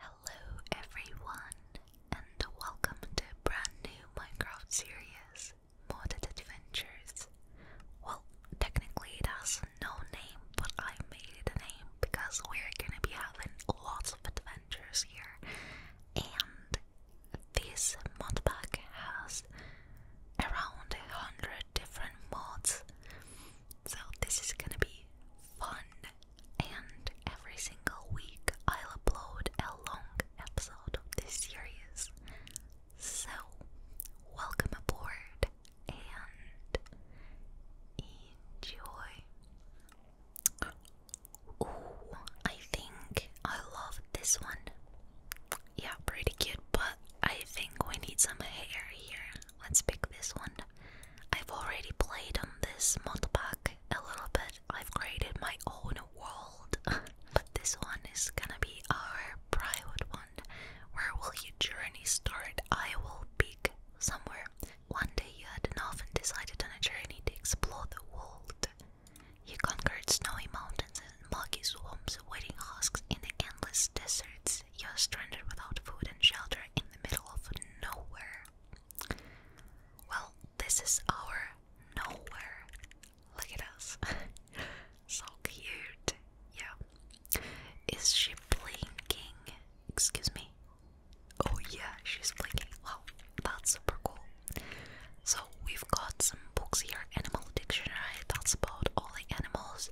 Hello everyone and welcome to brand new Minecraft series, Modded Adventures. Well, technically it has no name, but I made it a name because we're gonna be having lots of adventures here. And this mod pack has around a hundred different mods. So this is gonna be fun and every single week I'll upload a long episode of this series. So, welcome aboard and enjoy. Ooh, I think I love this one. Yeah, pretty cute, but I think we need some hair here. Let's pick this one I've already played on this mod pack a little bit. I've created my own world, but this one is gonna be our private one. Where will your journey start? I will pick somewhere. One day you had enough and decided on a journey to explore the world. You conquered snowy mountains and muggy swamps, waiting husks in the endless deserts. You're stranded without food and shelter in the middle of nowhere. Well, this is our nowhere. Look at us. so cute. Yeah. Is she blinking? Excuse me. Oh, yeah, she's blinking. Wow, that's super cool. So, we've got some books here Animal Dictionary, that's about all the animals,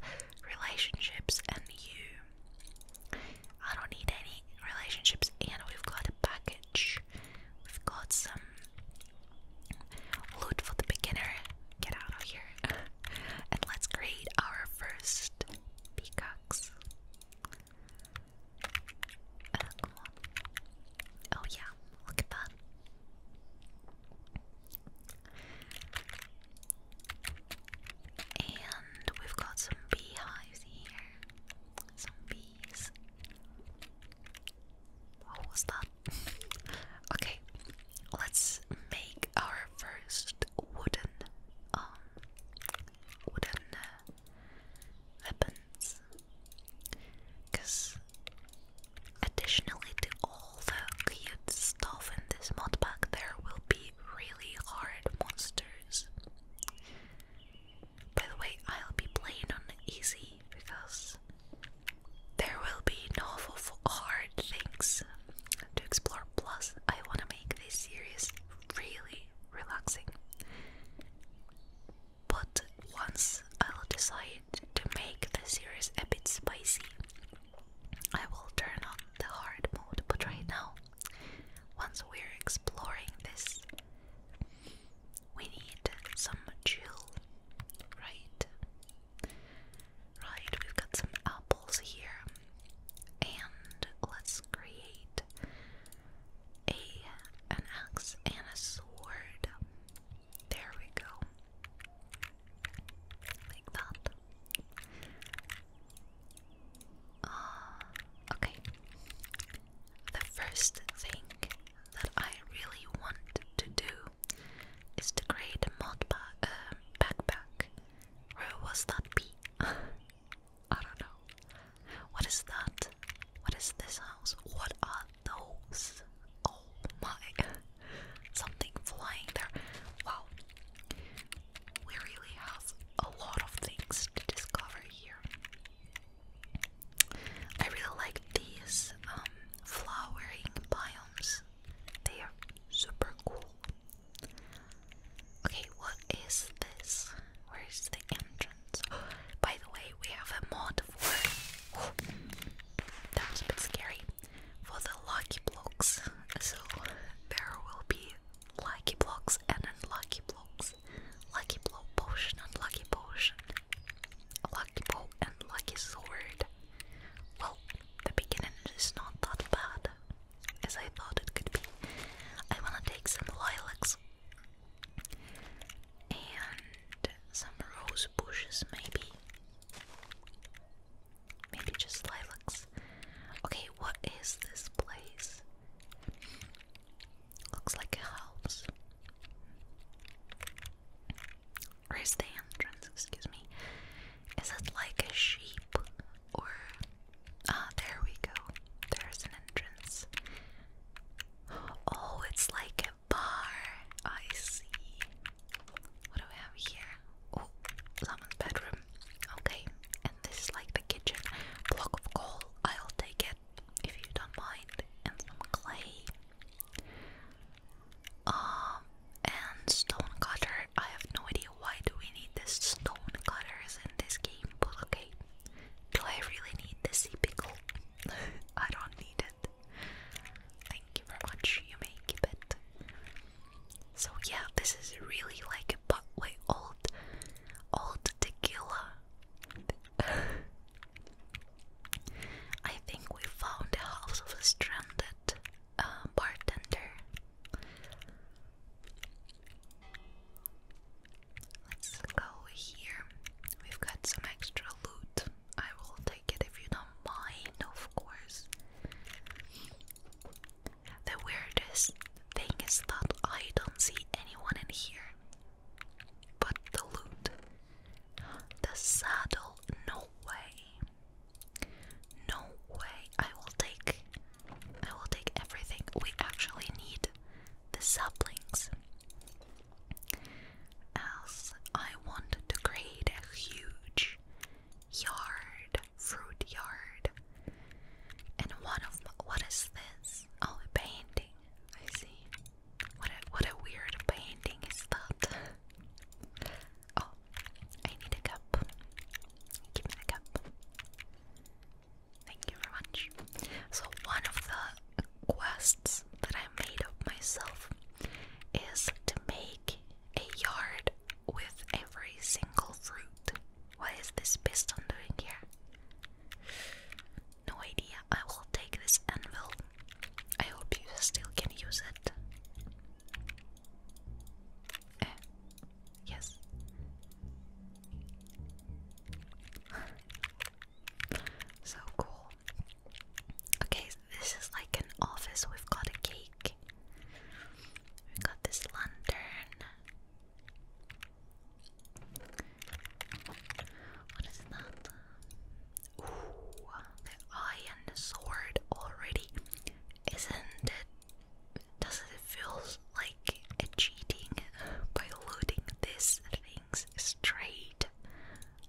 relationships, and you. I don't need any relationships, and we've got a package. We've got some loot for the beginner. Get out of here. and let's create our first peacocks. Uh, oh, yeah, look at that. And we've got some beehives here some bees. What was that? okay, let's make our first wooden, um, wooden uh, weapons. Because additionally to all the cute stuff in this mod pack, there will be really hard monsters. By the way, I'll be playing on easy because there will be no hard things to explore. Plus, I want to make this series really relaxing. But once I'll decide to make the series a bit spicy, I will turn on the hard mode. But right now, once we're exploring this, we need some chill, right? Right, we've got some apples here, and let's create a an axe and a sword. There we go. Like that. Uh, okay. The first thing that I really want to do is to create a mod ba uh, backpack. Where was that be? don't know. What is that? What is this house? What are those? Oh my. Something flying there. Wow. We really have a lot of things to discover I really like these um, flowering biomes. They are super cool. Okay, what is this? Where is the entrance? by the way, we have a mod for. Oh, that was a bit scary. For the lucky blocks. So there will be lucky blocks and unlucky blocks, lucky block potion, unlucky potion, lucky bow and lucky sword. Well, the beginning is not that bad as I thought it could be. I wanna take some lilacs and some rose bushes, maybe. Maybe just lilacs. Okay, what is this place? Looks like a house. Or the entrance, excuse me. Is it like a sheep or ah there we go. There's an entrance. Oh, it's like a bar. I see. What do we have here? Oh, someone's bedroom. Okay. And this is like the kitchen. Block of coal. I'll take it if you don't mind, and some clay. Um, and stone cutter. I have no idea why do we need this stone cutters in this game, but okay. Do I really need the sea pickle? I don't need it. Thank you very much. You may keep it. So yeah, this is really like a but way old Old tequila. I think we found the house of a stranded uh, bartender. Let's go here. We've got some extra loot. I will take it if you don't mind, of course. The weirdest thing is that I don't see anyone in here. But the loot, the saddle, no way, no way. I will take, I will take everything. We actually need the saplings, as I want to create a huge yard, fruit yard. And one of what is this? Oh, a painting. I see. What a what a weird painting is that? oh, I need a cup. Give me the cup. Thank you very much. So one of the quests that I made up myself is to make a yard with every single fruit. What is this piston doing here? No idea. I will take this anvil. I hope you still can use it. Eh. Yes. so cool. Okay, this is like an office. We've got a cake. we got this lantern. What is that? Ooh, the iron sword already. Isn't it? does it feel like cheating by loading this things straight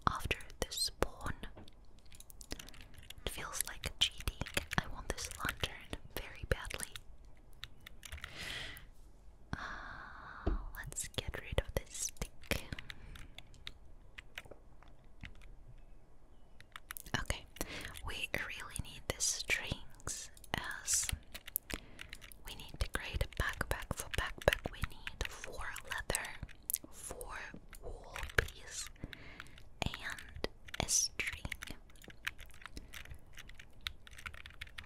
after the spawn? It feels like cheating. I want this lantern very badly. Ah, let's get rid of this stick. Okay, we really need the strings as we need to create a backpack. For backpack, we need four leather, four wool piece, and a string.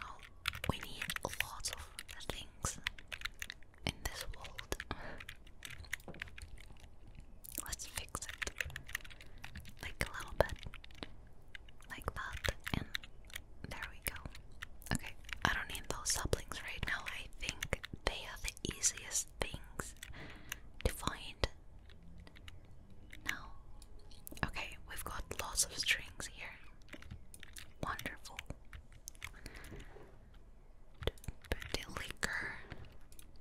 Oh, we need lots of things in this world. Let's fix it. Like a little bit. Like that. And there we go. Okay, I don't need those saplings right now. I think they are the easiest things to find. Now, okay, we've got lots of strings here. Wonderful. liquor,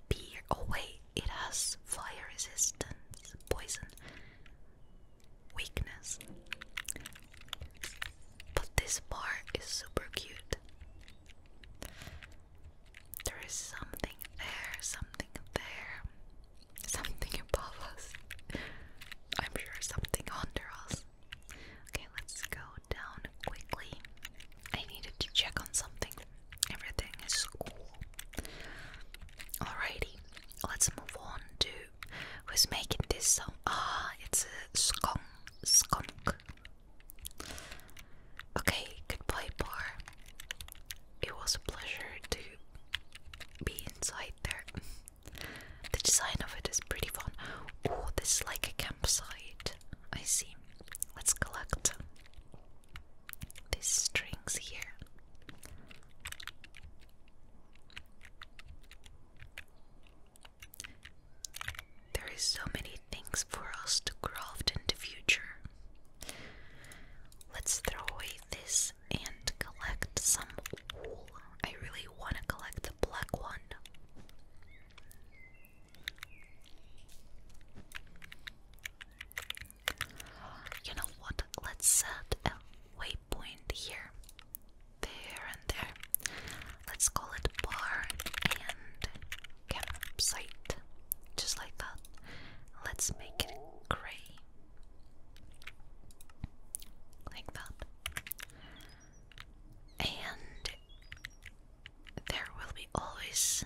beer. Oh wait, it has fire resistance, poison, weakness. But this bar is super cute. There is something there, something there. Something above us. I'm sure something under us. Okay, let's go down quickly. I needed to check on something. Everything is cool. Alrighty, let's move on to who's making this sound. Ah, it's a skunk. Skunk. Okay, goodbye, bar. It was a pleasure to be inside there. The design of it is pretty fun. Oh, this is like a campsite. I see. Let's collect these strings here. There is so many things for us to craft in the future. Let's throw away this and collect some wool. I really want to collect the black one. You know what? Let's set a waypoint here, there, and there. Let's call it bar and campsite, just like that. Let's make it gray. Like that. And there will be always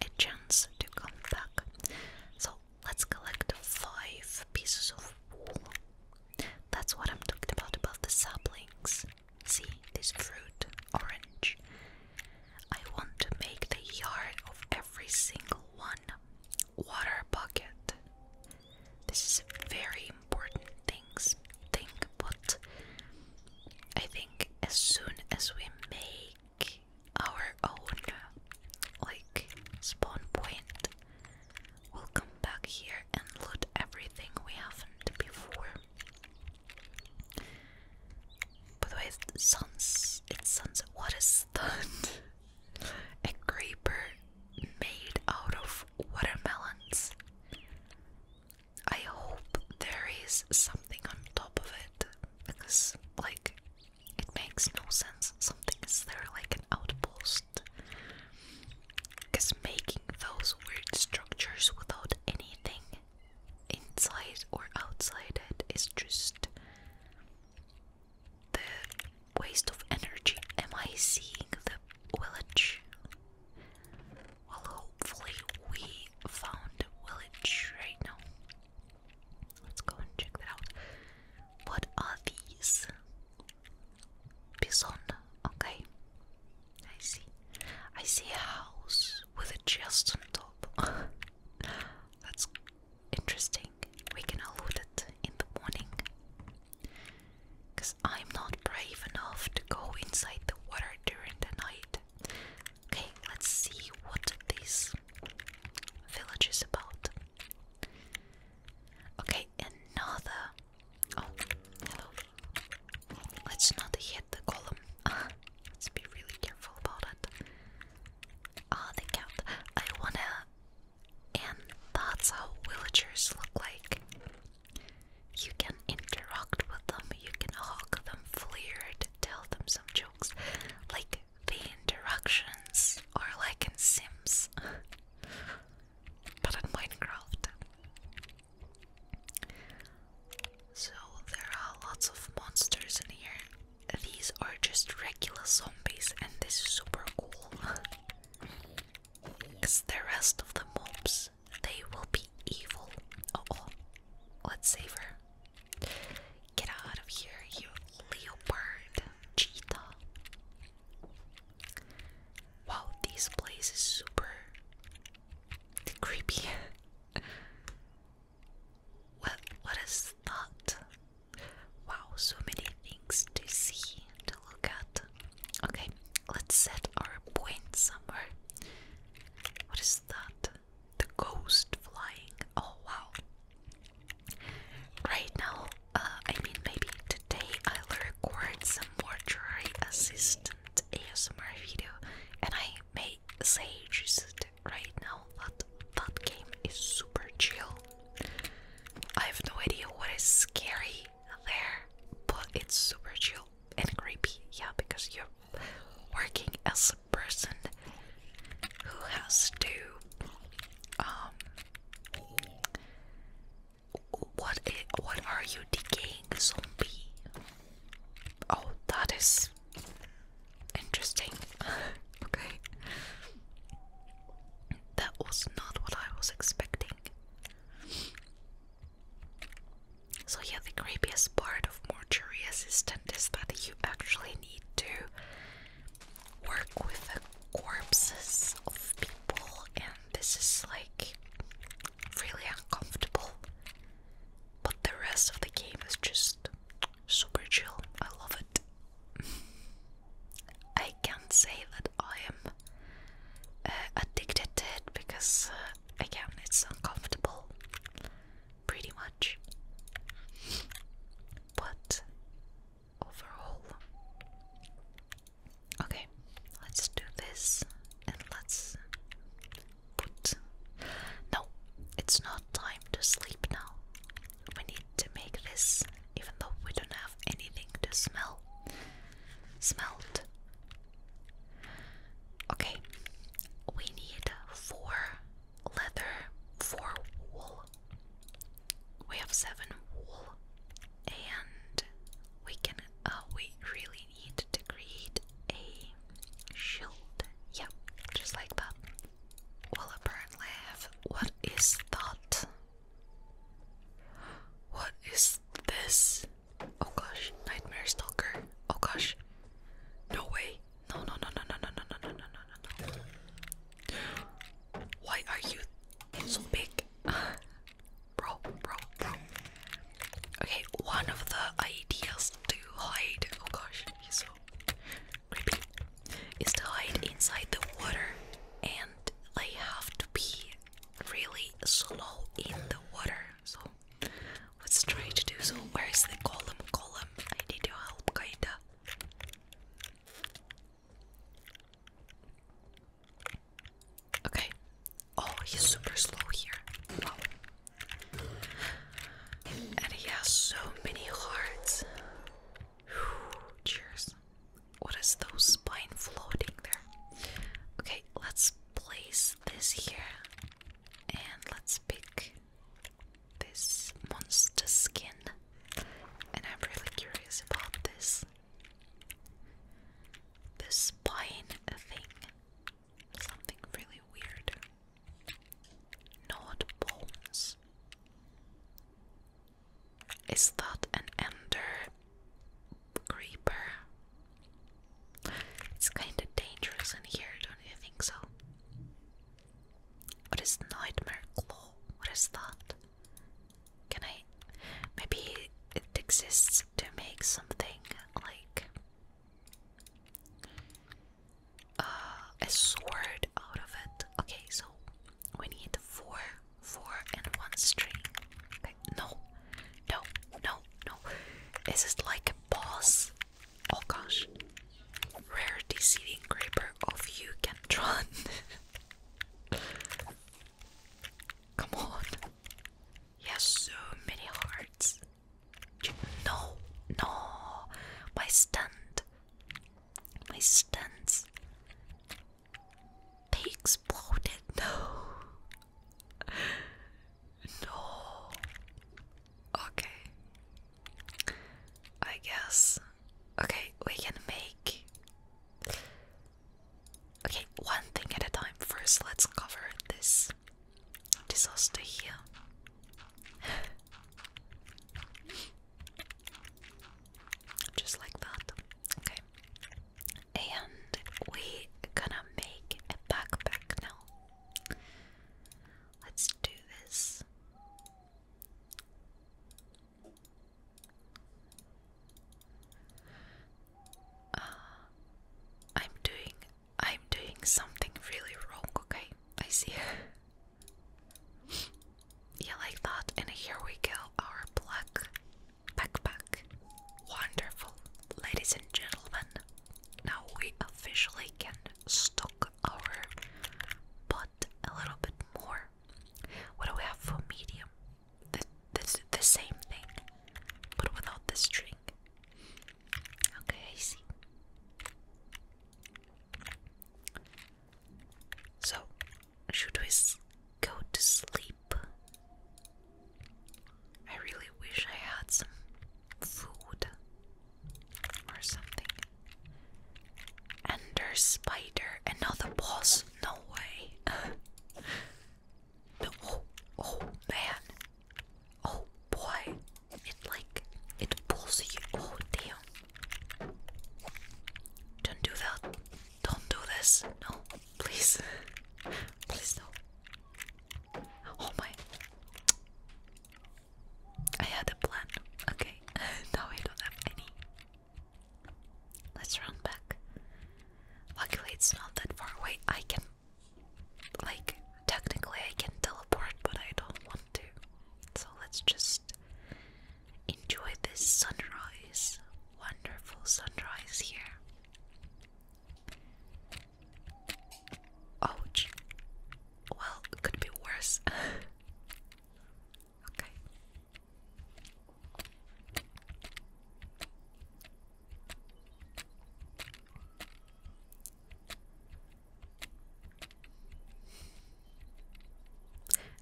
a chance to come back. So let's collect five pieces of wool. That's what I'm talking about about the saplings. See this fruit, orange. I want to make the yard of every single one water bucket. This is very important things thing, but I think as soon as we make our own like spawn point, we'll come back here and loot everything we haven't before. By the way, suns. It's sunset. What is that? a creeper made out of watermelons. I hope there is something on top of it because, like, it makes no sense. Something is there like an outpost. Because making those weird structures without anything inside or outside it is just the waste of energy. Am I seeing the village? Well, hopefully, we found village right now. Let's go and check that out. What are these? Bison. Okay. I see. I see a house with a chest on top. That's interesting. We can all it in the morning. Because I'm not brave enough to go inside the water during the night. Okay, let's see what this village is about. Okay, another. Oh, hello. Let's not hit the column. Let's be really careful about it. Ah, the cat. I wanna and that's how villagers look like. You can interact with them, you can hug them, flirt, tell them some jokes. Like the interactions are like in Sims, but in Minecraft. So there are lots of monsters in here. These are just regular zombies, and this is super cool. Cause the rest of the mobs, they will be evil. Oh, oh, let's save her. Get out of here, you leopard, cheetah. Wow, this place is super creepy. what? What is that? Wow, so many things to see, to look at. Okay, let's set our point somewhere. What is that? The ghost flying. Oh wow. Right now, uh, I mean, maybe today I'll record some mortuary assistant ASMR video and I may say just right now that that game is super chill. I have no idea what is scary there, but it's super chill and creepy, yeah, because you're working as a person who has to, um, what what are you decaying zombie? Oh, that is interesting. okay, that was not what I was expecting. So yeah, the creepiest part of mortuary assistant is that you actually need to work with the corpses of people and this is like really uncomfortable. But the rest of the game is just super chill. I love it. I can't say I am uh, addicted to it because, uh, again, it's uncomfortable, pretty much. But overall, okay, let's do this and let's put. No, it's not time to sleep now. We need to make this even though we don't have anything to smell. Smelt. Okay, we need four leather, four wool. We have seven wool, and we can. Uh, we really need to create a shield. Yep, just like that. Well, apparently have. What is thought? What is this? Oh gosh, Nightmare Stalker. Oh gosh. No way. No, no, no, no, no, no, no, no, no, no, no, no. Why are you so big? bro, bro, bro. Okay, one of the ideas to hide. Oh gosh, he's so creepy. Is to hide inside the water and I have to be really slow in the water. So let's try to do so. Where is the column? Column, I need your help, kinda. Okay. Oh, he's super slow here. And he has so many hearts. cheers. What is those spine floating there? Okay, let's place this here and let's pick this monster skin. And I'm really curious about this. The spine thing. Something really weird. Not bones. Is that an ender creeper? It's kind of dangerous in here, don't you think so? What is nightmare claw? What is that? Can I? Maybe it exists to make something like uh, a sword out of it. Okay, so we need four four, and one string. No, no, no, no. Is it like a boss? Oh gosh. Rare deceiving creeper of you can run. Come on. He has so many hearts. No, no. My stand. My stands. They exploded. No. No. Okay. I guess. Okay, we can make. Okay, one thing at a time. First, let's cover this disaster here. Just like that. Okay and we gonna make a backpack now. Let's do this. Uh, I'm doing I'm doing something really wrong, okay? I see. yeah, like that. And here we go, our black backpack. Wonderful, ladies and gentlemen. Now we officially can stock our pot a little bit more. What do we have for medium? The, the, the same thing, but without the drink. Okay, I see. So, should we go to sleep. I really wish I had some food or something. Ender spider, another boss? No way. no, oh, man. Oh boy. It like it pulls you. Oh damn. Don't do that. Don't do this. No, please. Please no. Oh my. I had a plan. Okay. now I don't have any. Let's run back. Luckily, it's not that far away. I can. Like, technically, I can teleport, but I don't want to. So let's just enjoy this sunrise. Wonderful sunrise here. Ouch. Well, it could be worse. okay.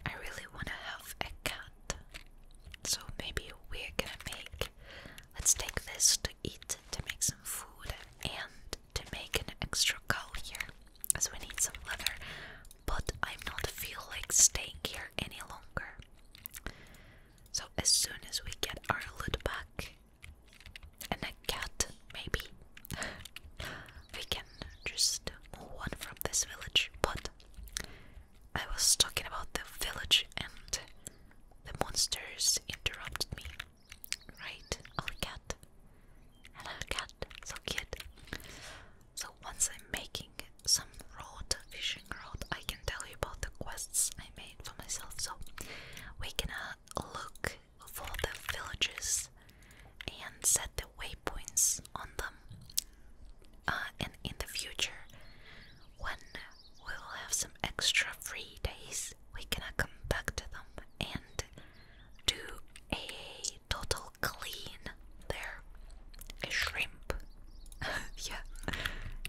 I really want to have a cat. So maybe we're gonna make. Let's take this to eat, to make some food, and to make an extra cowl here. So we need some leather. But I'm not feel like staying here any longer. So as soon as we get our loot back and a cat, maybe we can just move on from this village. But I was talking about the village and the monsters interrupted me. Right? Our cat. Hello, cat. So cute. So once I'm making some road, fishing road, I can tell you about the quests I made for myself. So we gonna uh, look for the villages and set the waypoints on them. Uh, and in the future, when we will have some extra free days. We're gonna come back to them and do a total clean there. A shrimp. yeah,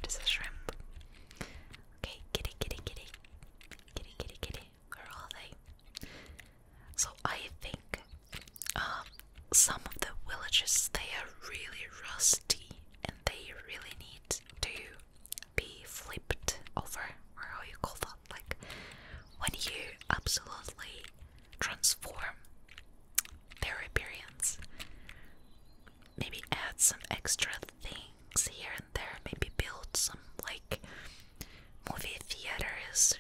just a shrimp. Okay, kitty, kitty, kitty. Kitty, kitty, kitty. Where are they? So I think um, some of the villages they are really rusty they really need to be flipped over, or how you call that, like when you absolutely transform their experience. Maybe add some extra things here and there, maybe build some like movie theaters,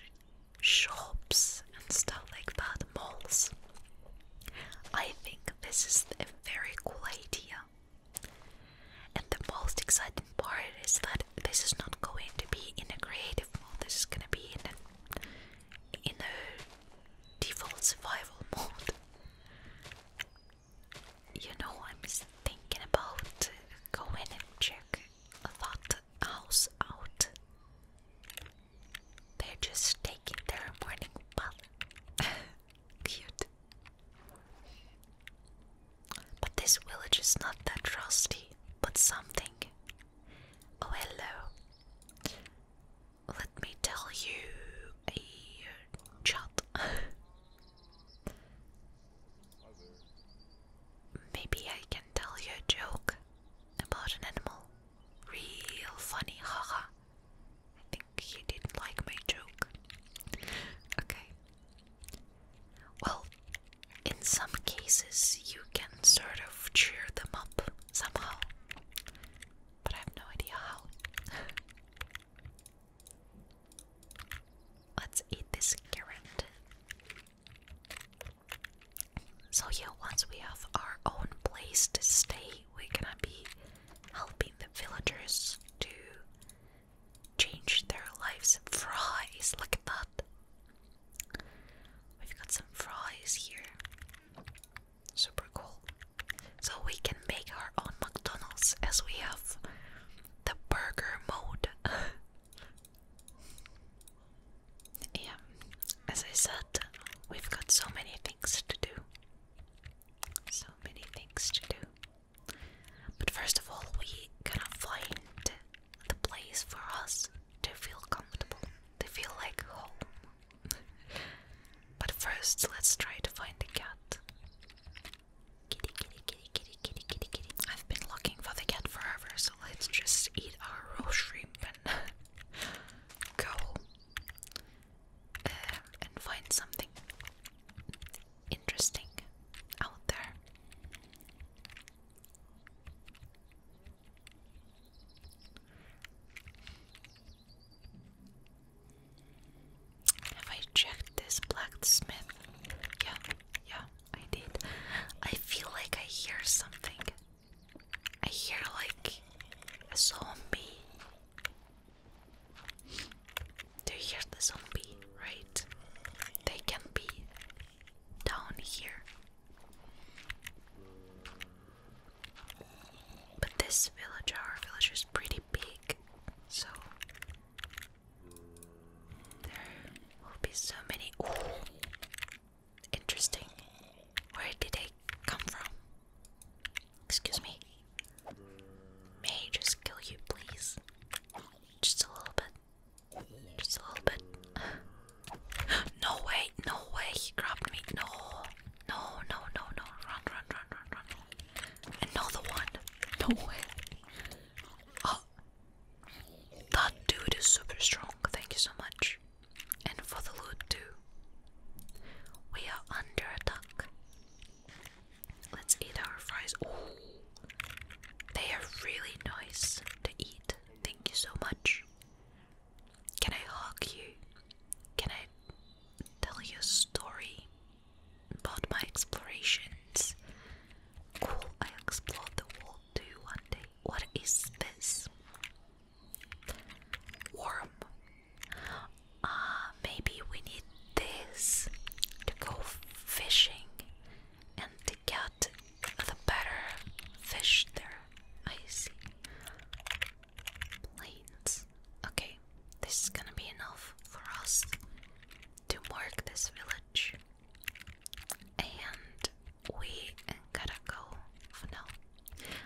shops, and stuff like that, malls. I think this is a very cool idea. And the most exciting part is that this is not going to be in a creative mode. This is going to be in a, in a default survival mode. You know, I'm thinking about going and check that house out. They're just taking their morning bath. Cute. But this village is not that rusty, but something. Oh, hello. Let me tell you a chat. Maybe I can tell you a joke about an animal. Real funny, haha. I think he didn't like my joke. Okay. Well, in some cases, you can sort of cheer them up somehow, but I have no idea how. Let's eat this carrot. So, yeah, once we have our own place to stay, we're gonna be helping the villagers to change their lives. Fries, look at that. We've got some fries here. Super cool. So we can make our own McDonald's as we have the burger mode. yeah, as I said, we've got so many things to do. So many things to do. But first of all, we gotta find the place for us to feel comfortable, to feel like home. but first, let's try to find the cat. Kitty, kitty, kitty, kitty, kitty, kitty, kitty. I've been looking for the cat forever, so let's just eat our raw shrimp and go. Uh, and find something interesting out there. Have I checked this blacksmith? Yeah, yeah, I did. I feel like I hear something. I hear like a zombie do you hear the zombie? Right? They can be down here. But this village, our village, is pretty big, so there will be so many. Ooh. Interesting. Where did they come from? Excuse me. May I just kill you, please? Just a little bit. Just a little bit. no way, no way, he grabbed me. No, no, no, no, no. Run, run, run, run, run. Another one. No way. Oh. That dude is super strong. Thank you so much. And for the loot, too. We are under attack. Let's eat our fries. Oh, they are really nice to eat. Thank you so much. Can I hug you? Can I tell you a story about my explorations? Cool, I explored the world too one day. What is this? Worm. Ah, maybe we need this to go fishing and get the better fish there. I see. Plains. Okay, this is gonna be enough for us to mark this village. And we gotta go now.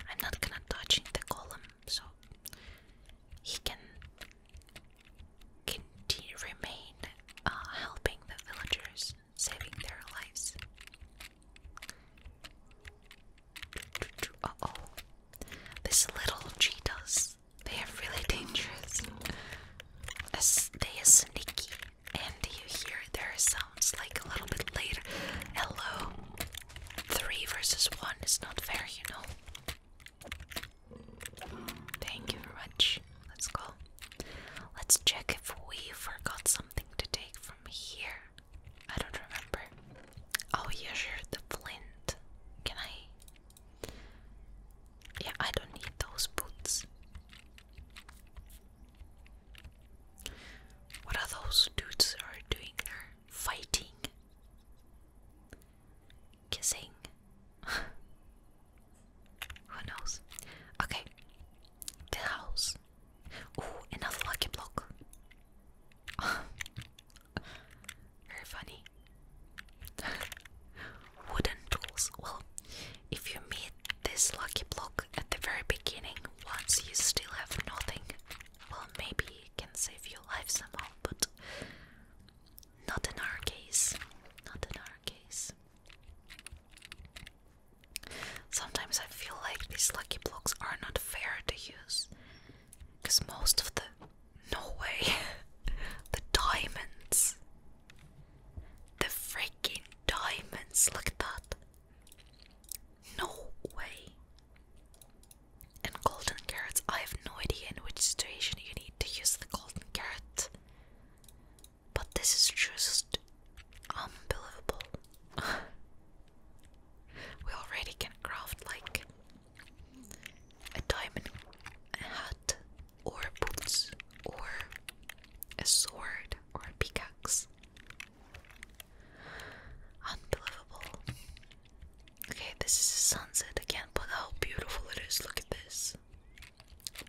I'm not gonna touch the column so he can continue remain uh, helping the villagers, saving their lives. Uh oh, these little cheetahs, they are really dangerous. they are sneaky, and you hear their sounds like a little bit later. Hello, Three versus one is not fair, you know. Thank you very much. Let's go. Let's check if we forgot something to take from here. I don't remember. Oh, yeah, sure, the flint. Can I? Yeah, I don't need those boots. What are those dudes are doing there? fighting, kissing. Who knows? Okay, the house. Ooh, another lucky block. Very funny. Wooden tools. Well, if you meet this lucky block at the very beginning, once you still have nothing, well, maybe it can save your life somehow but not in our case. Not in our case. Sometimes I feel like these lucky blocks are not fair to use. Because most of the. No way! the diamonds! The freaking diamonds! Look at that! No way! And golden carrots. I have no idea in which situation you need to use the golden carrot. But this is just unbelievable. we already can craft like a diamond hat or boots or a sword or a pickaxe. Unbelievable. Okay, this is the sunset again, but how beautiful it is. Look at this.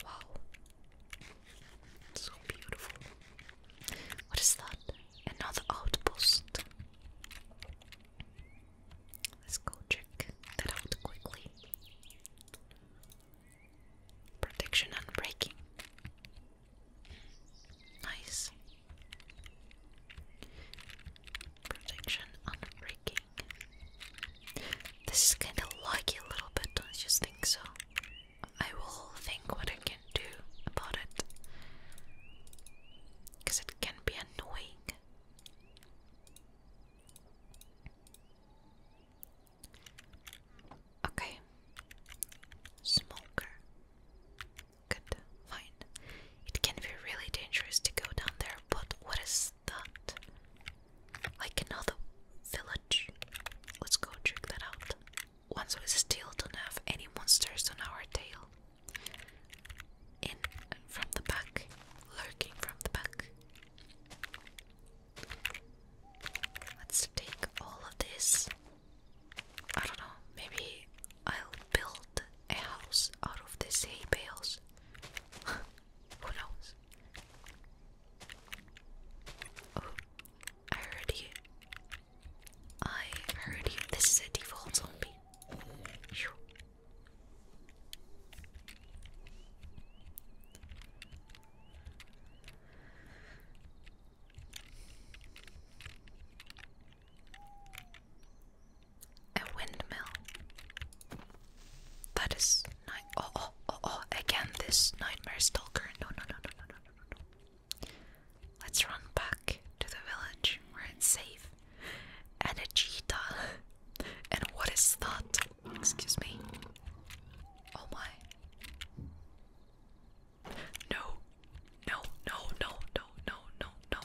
Wow. So beautiful. What is that? Another outpost. Let's go check that out quickly. Protection and breaking. Nice. Protection on This is kind of lucky a little bit, don't you think so? I will think what I can do about it. Because it can be annoying. Okay. Smoker could find. It can be really dangerous to go down there, but what is that? Like another village? Let's go check that out. Once we still don't have any monsters on our tail. In from the back, lurking from the back. Let's take all of this. I don't know, maybe I'll build a out of the hay bales. Who knows? Oh, I heard you. I heard you. This is a default zombie. A windmill. That is night. Oh, oh, oh, oh! Again, this nightmare stalker. No, no, no, no, no, no, no, no. Let's run back to the village where it's safe. And a cheetah. And what is that? Excuse me. Oh my. No. No, no, no, no, no, no, no.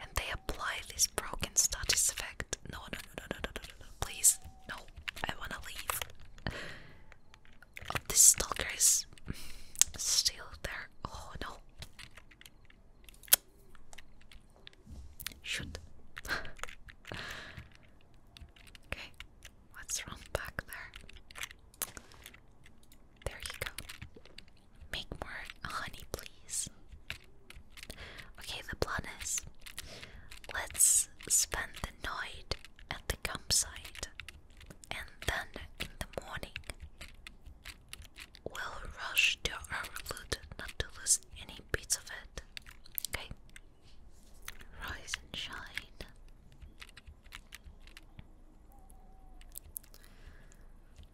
And they apply this broken status effect. No, no, no, no, no, no, no, no. Please, no. I wanna leave. Oh, this stalker is still there. Oh no. Shoot. okay, let's run back there. There you go. Make more honey, please. Okay, the plan is let's spend the night at the campsite and then in the morning we'll rush to our loot not to lose any bits of it. Okay? Rise and shine.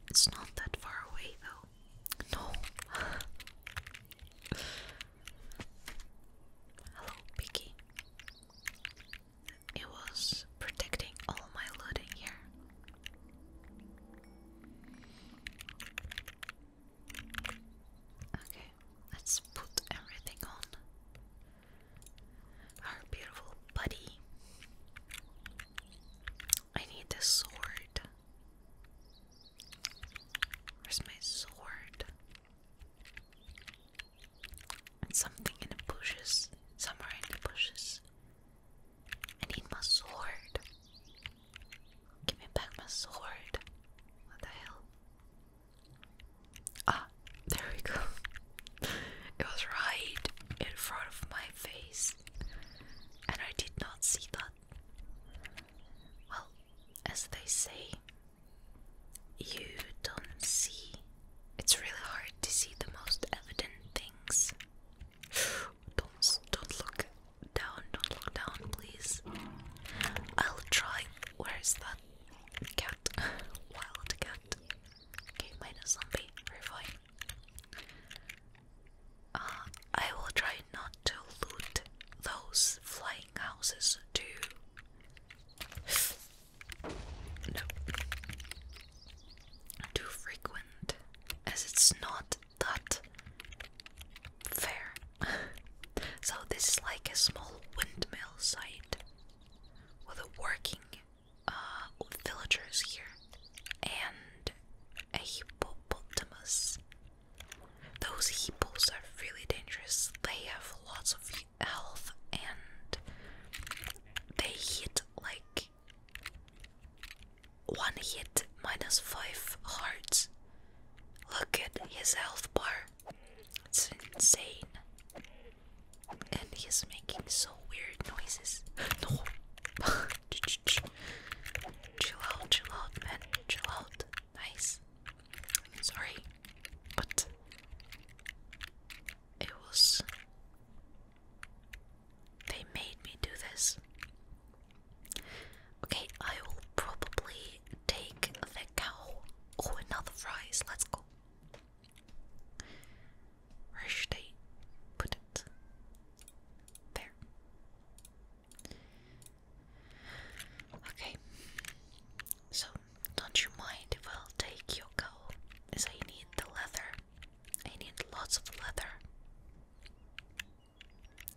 It's not that far away though. No. Hello, Piggy. It was protecting all my loot here. Okay, let's put everything on. Our beautiful buddy. I need the sword. Where's my sword? something in the bushes. Somewhere in the bushes. I need my sword. Give me back my sword. What the hell? Ah, there we go. it was right in front of my face and I did not see that. Well, as they say, you don't see. It's really hard to see the most evident things. Don't don't look down. Don't look down, please. I'll try. Where is that cat? Wild cat. Okay, minus zombie. we I will try not to loot those flying houses too. Too frequent, as it's not that fair. so, this is like a small windmill site with a working uh, villagers here and a hippopotamus. Those hippos are really dangerous. They have lots of health and they hit like one hit minus five hearts. Look at his health bar. It's insane. And he's making so weird noises. chill out, chill out, man. Chill out. Nice. sorry, but it was. They made me do this. Okay, I will probably take the cow. Oh, another fries. Let's go. Where should I put it? There. Okay. So, don't you mind if I'll take your cow, as I need the leather. I need lots of leather.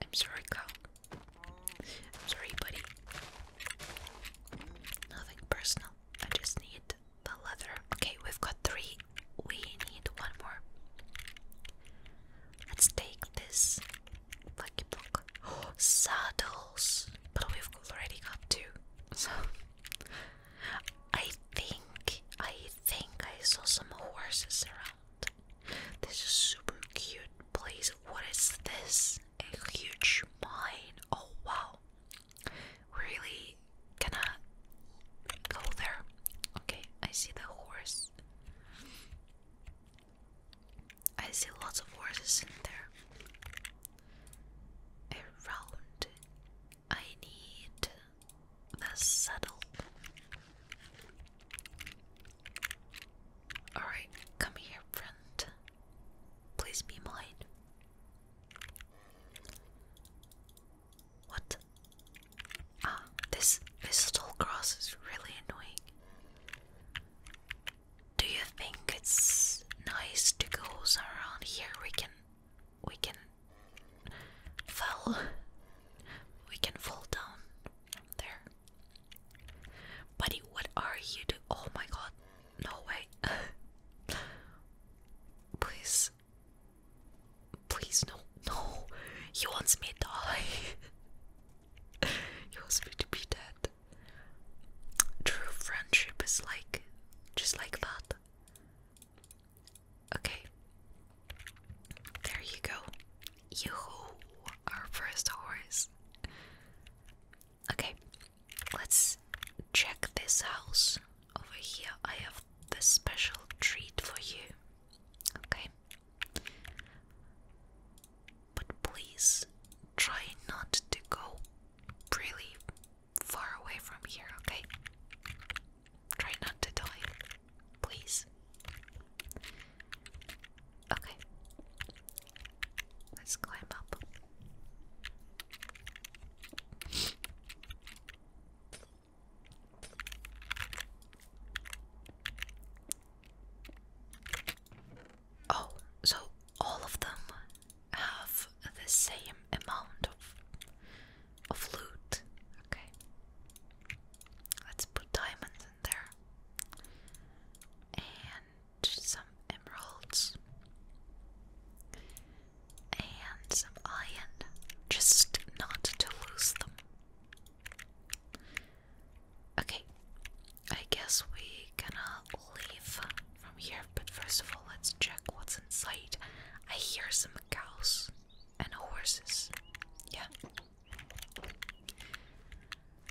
I'm sorry, cow. I'm sorry, buddy. Nothing personal. I just need the leather. Okay, we've got three we need one more. Let's take this lucky saddles, but we've already got two. So I think I think I saw some horses around. This is super cute Please, What is this? A huge mine. Oh wow. Really gonna go there. Okay, I see the horse. I see lots of horses in there. Around, I need the saddle. Alright, come here, friend. Please be mine. What? Ah, this mistletoe grass is really annoying. Do you think it's nice to go around here? We can, we can fall, we can fall down there. Buddy, what are you doing? Oh my god, no way. Please, Please, no, no. He wants me to die. he wants me to be dead. True friendship is like, just like that. Okay. There you go. Yoo-hoo, our first horse. Okay, let's check this house over here. I have this special treat for you. Okay. But please try not to go really far away from here, okay? Try not to die, please. Okay, let's climb up. Oh, so all of them have the same amount of loot. Okay. Let's put diamonds in there. And some emeralds. And some iron. Just not to lose them. Okay, I guess we gonna leave from here, but first of all, let's check what's inside. I hear some cows and horses. Yeah.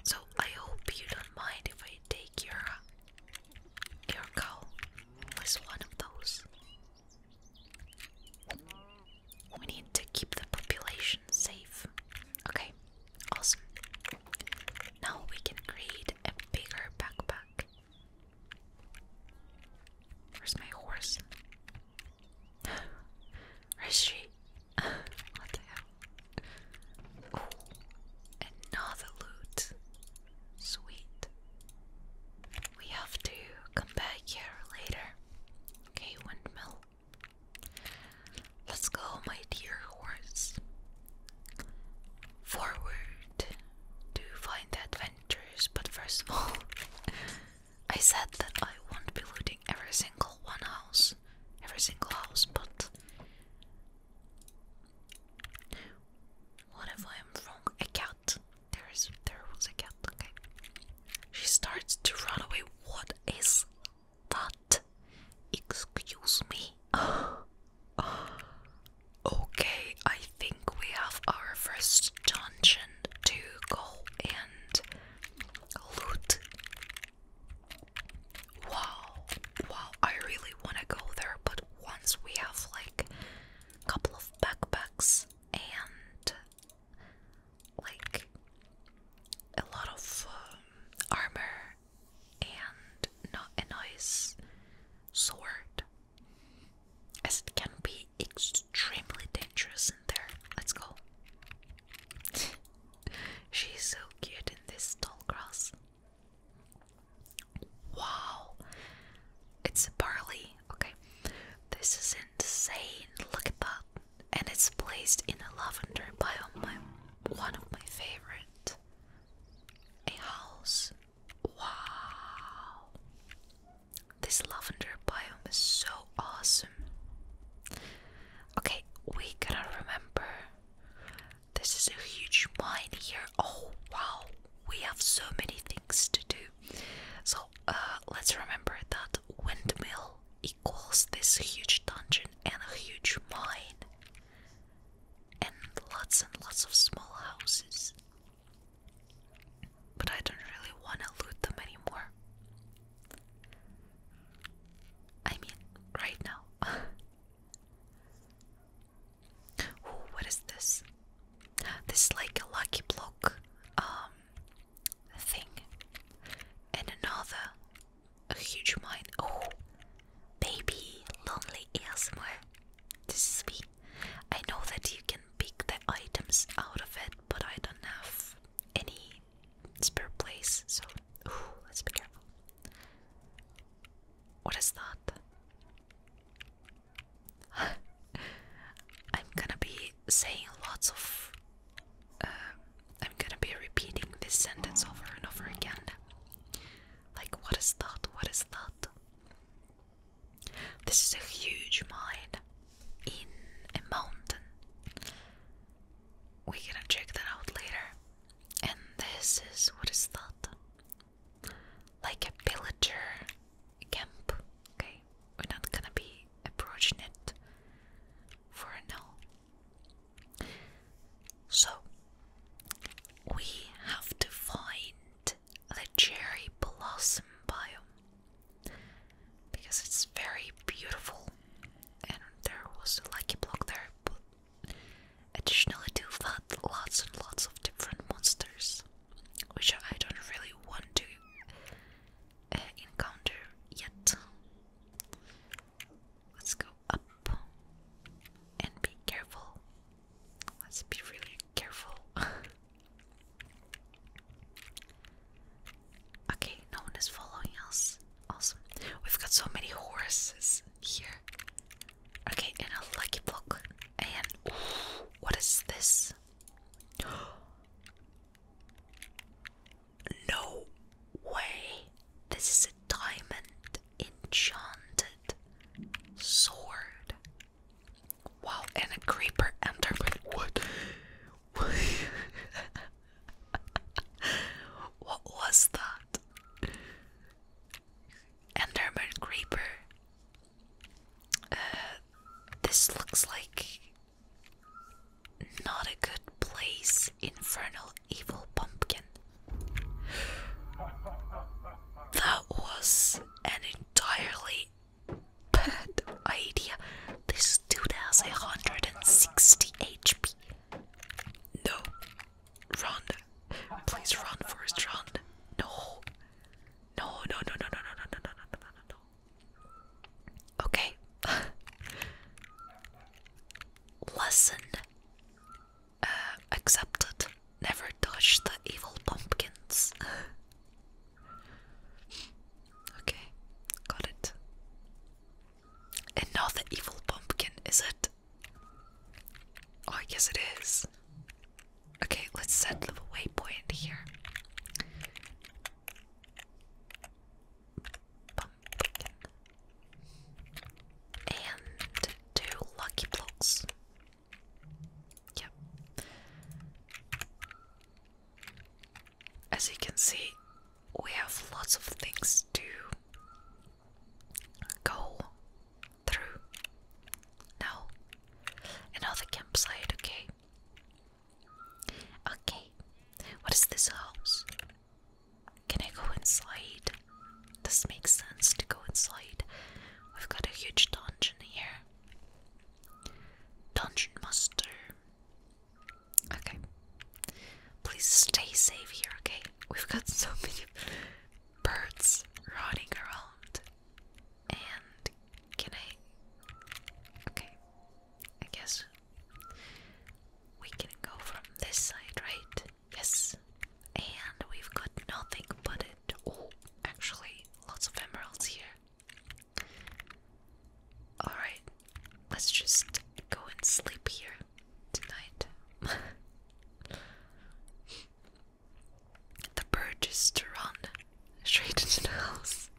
So I hope you don't mind if I take your your cow with one of those. We need to keep the population safe. Okay, awesome. Now we can create a bigger backpack. Where's my horse? Where's she? what the hell? another loot. Sweet. We have to come back here later. Okay, windmill. Let's go, my dear horse. Forward to find the adventures, but first of all, I said that I won't be looting every single one house, every single house, but what if I am wrong? A cat. There is, there was a cat. Okay. She starts to run away what is that? Excuse me. okay, I think we have our first dungeon to go and loot. Wow, wow, I really want to go there, but once we have like a couple of backpacks and like a lot of um, armor and not a nice sword, as it can be extremely dangerous in there. Let's go. She's so cute in this tall grass. Wow, it's a barley. Okay, this is insane. Look at that and it's placed in a lavender biome, one of my favorite. A house. Wow. This lavender biome is so awesome. Okay, we gotta remember this is a huge mine here. Oh wow, we have so many things to do. So uh, let's remember that windmill equals this huge dungeon and a huge mine, and lots and lots of small houses. But I don't really want to loot them anymore. I mean, right now. Ooh, what is this? This is like a lucky block. Um, thing, and another, a huge mine. Oh, baby, lonely elsewhere This is me. I know that you can pick the items out of it, but I don't have any spare place, so let's be careful. What is that? I'm gonna be saying lots of. Um, I'm gonna be repeating this sentence over and over again. Like, what is that? What is that? This is a huge mine in a mountain. We're gonna check that out later. And this is what is that? Like a pillager camp. Okay we're not gonna be approaching it for now. So, we have to find the cherry blossom biome because it's very beautiful and there was a lucky block there, but additionally to that, lots and lots of different monsters. Which I don't really want to Eh, encounter yet. Let's go up and be careful. Let's be really careful. okay, no one is following us. Awesome. We've got so many horses here. Okay, and a lucky block. And what is this? No way. This is a diamond enchanted sword. Wow, and a creeper entered with what was that? Enderman creeper. Uh, this looks like not a good place, infernal evil pumpkin. That was an entirely bad idea. This dude has 160 HP. No. Run. Please run first, run. No. No, no, no, no, no, no, no, no, no, no, no, no. Okay. Lesson uh, accepted. Never touch the evil pumpkins. okay, got it. And evil pumpkin, is it? Oh, I it is. Okay, let's set the waypoint here. And two lucky blocks. Yep. As you can see, we have lots of things to go through. Now, another campsite, okay? Okay, what is this house? Can I go inside? This makes sense to go inside. We've got a huge dungeon here. Dungeon Master. Okay. Please stay safe here, okay? We've got so many birds running around. And can I. Okay. I guess we can go from this side, right? Yes. And we've got nothing but it. Oh, actually, lots of emeralds here. Alright, let's just go and sleep here tonight. the bird just run straight into the house.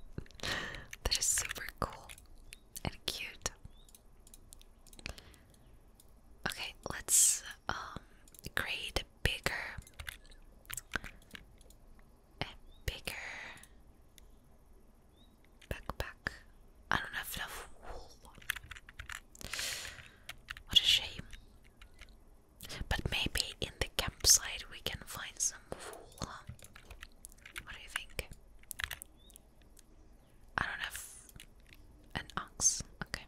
that is super cool and cute. Okay, let's um create bigger and bigger backpack. I don't have enough wool. What a shame. But maybe in the campsite we can find some wool. What do you think? I don't have an ox. Okay.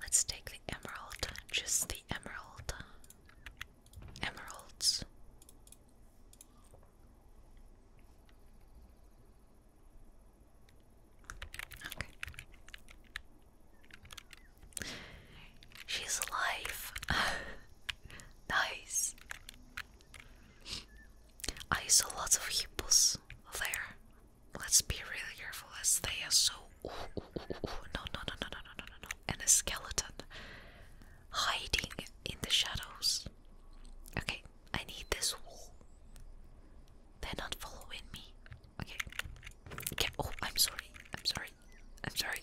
Let's take the emerald. Just the emerald. Emeralds. Okay. She's alive. nice. I saw lots of hippos there. Let's be really careful as they are so. Ooh, ooh, ooh, ooh. No, no, no, no, no, no, no, no. And a skeleton hiding in the shadows. Okay, I need this wall. They're not following me. Okay. okay. Oh, I'm sorry. I'm sorry. I'm sorry.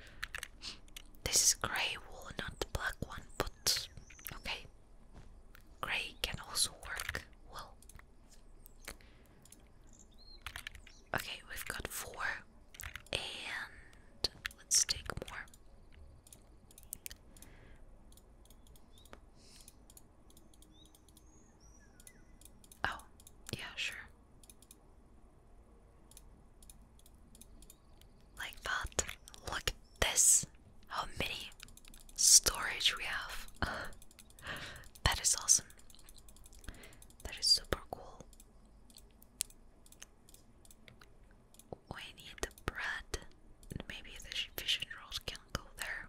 this is grey wool, not the black one, but okay. Grey can also work well. Okay, we've got four, and let's take more. Oh, yeah, sure. Like that. Look at this. How many storage we have. that is awesome. That is super cool. We need the bread. Maybe the fish and rolls can go there.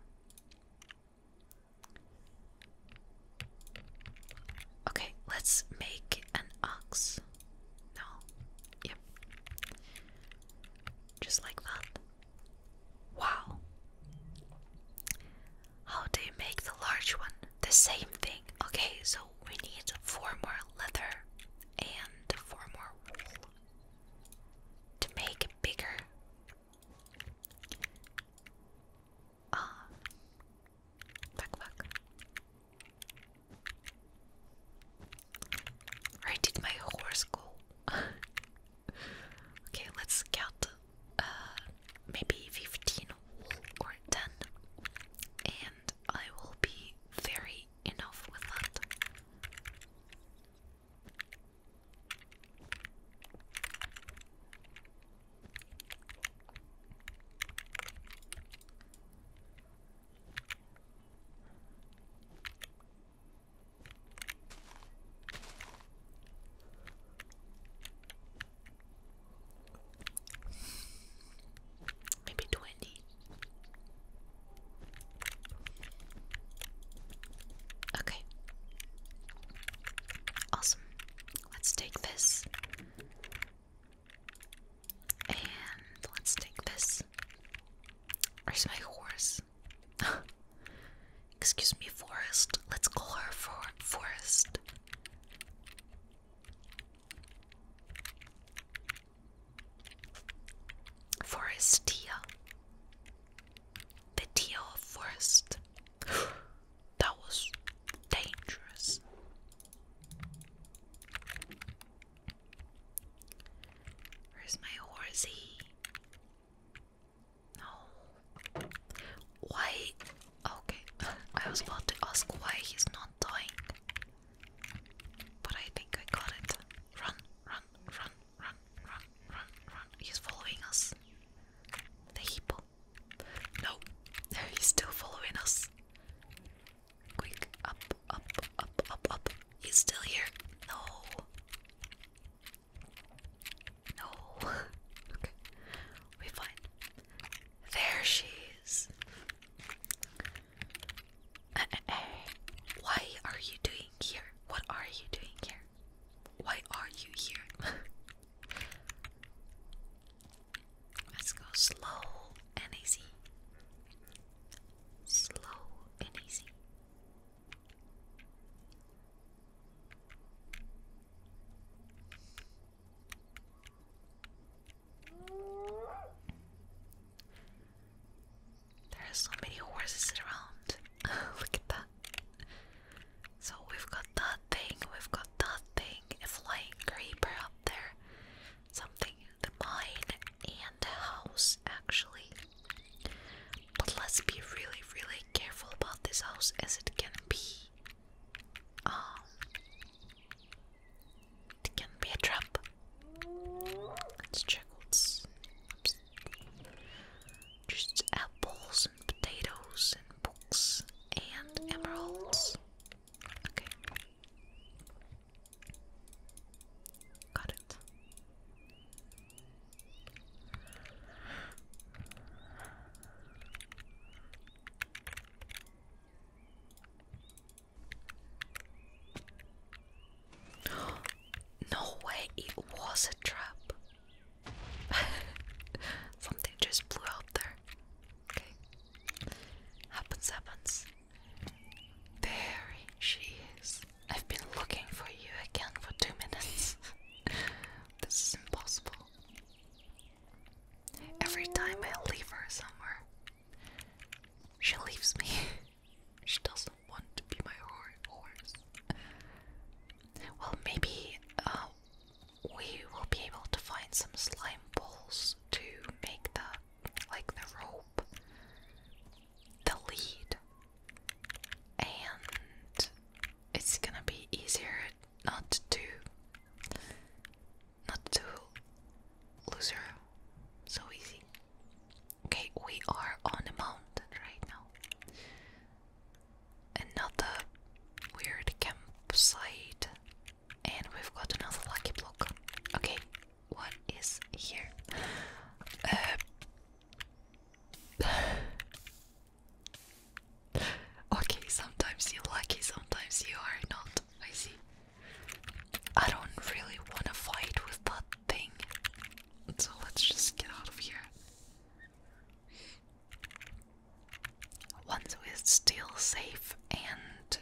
Okay, let's make an ox. No. Yep. Just like that. Wow. How do you make the large one? The same thing. Okay, so we need four more leather and four more wool to make bigger. Ah. Back, back. Where did my horse go? okay, let's count uh, maybe 15 or 10, and I will be very enough with that. Maybe twenty. Okay. Awesome. Let's take this. And let's take this. Where's my horse? Excuse me, Forest. Let's call her for Forest. Forestia. The Teal Forest. that was dangerous. Where's my horsey? No. Why? Okay, I was about to ask why he's not dying. But I think I got it. Run, run, run, run, run, run, run. He's following us. The hippo still? No, he's still following us. Quick, up, up, up, up, up. He's still here. No. No. okay, we fine. There she is. Uh, uh, uh. Why are you doing here? What are you doing here? Why are you here? Let's go slow and easy. Slow and easy. There are so many horses around. Look at that. So we've got that thing, we've got that thing, a flying creeper up there, something, the mine, and the house actually. But let's be really, really careful about this house as it can be. Um, it can be a trap. Let's check what's. Oops. Just apples, and potatoes and books and emeralds. Okay. Got it. No way, it was a trap. Something just blew out there. Happens, happens. There she is. I've been looking for you again for two minutes. this is impossible. Every time I leave her somewhere, she leaves me. she doesn't want to be my horse. Well, maybe uh, we will be able to find some slime balls to make the like the rope, the lead, and it's gonna be easier not to not to lose her so easy. Okay, we are on the mountain right now another weird campsite, and we've got another lucky block. Okay, what is here? Uh, okay, sometimes you're lucky, sometimes you are not. I see. I don't really want to fight with that thing, so let's just get out of here ones we're still safe and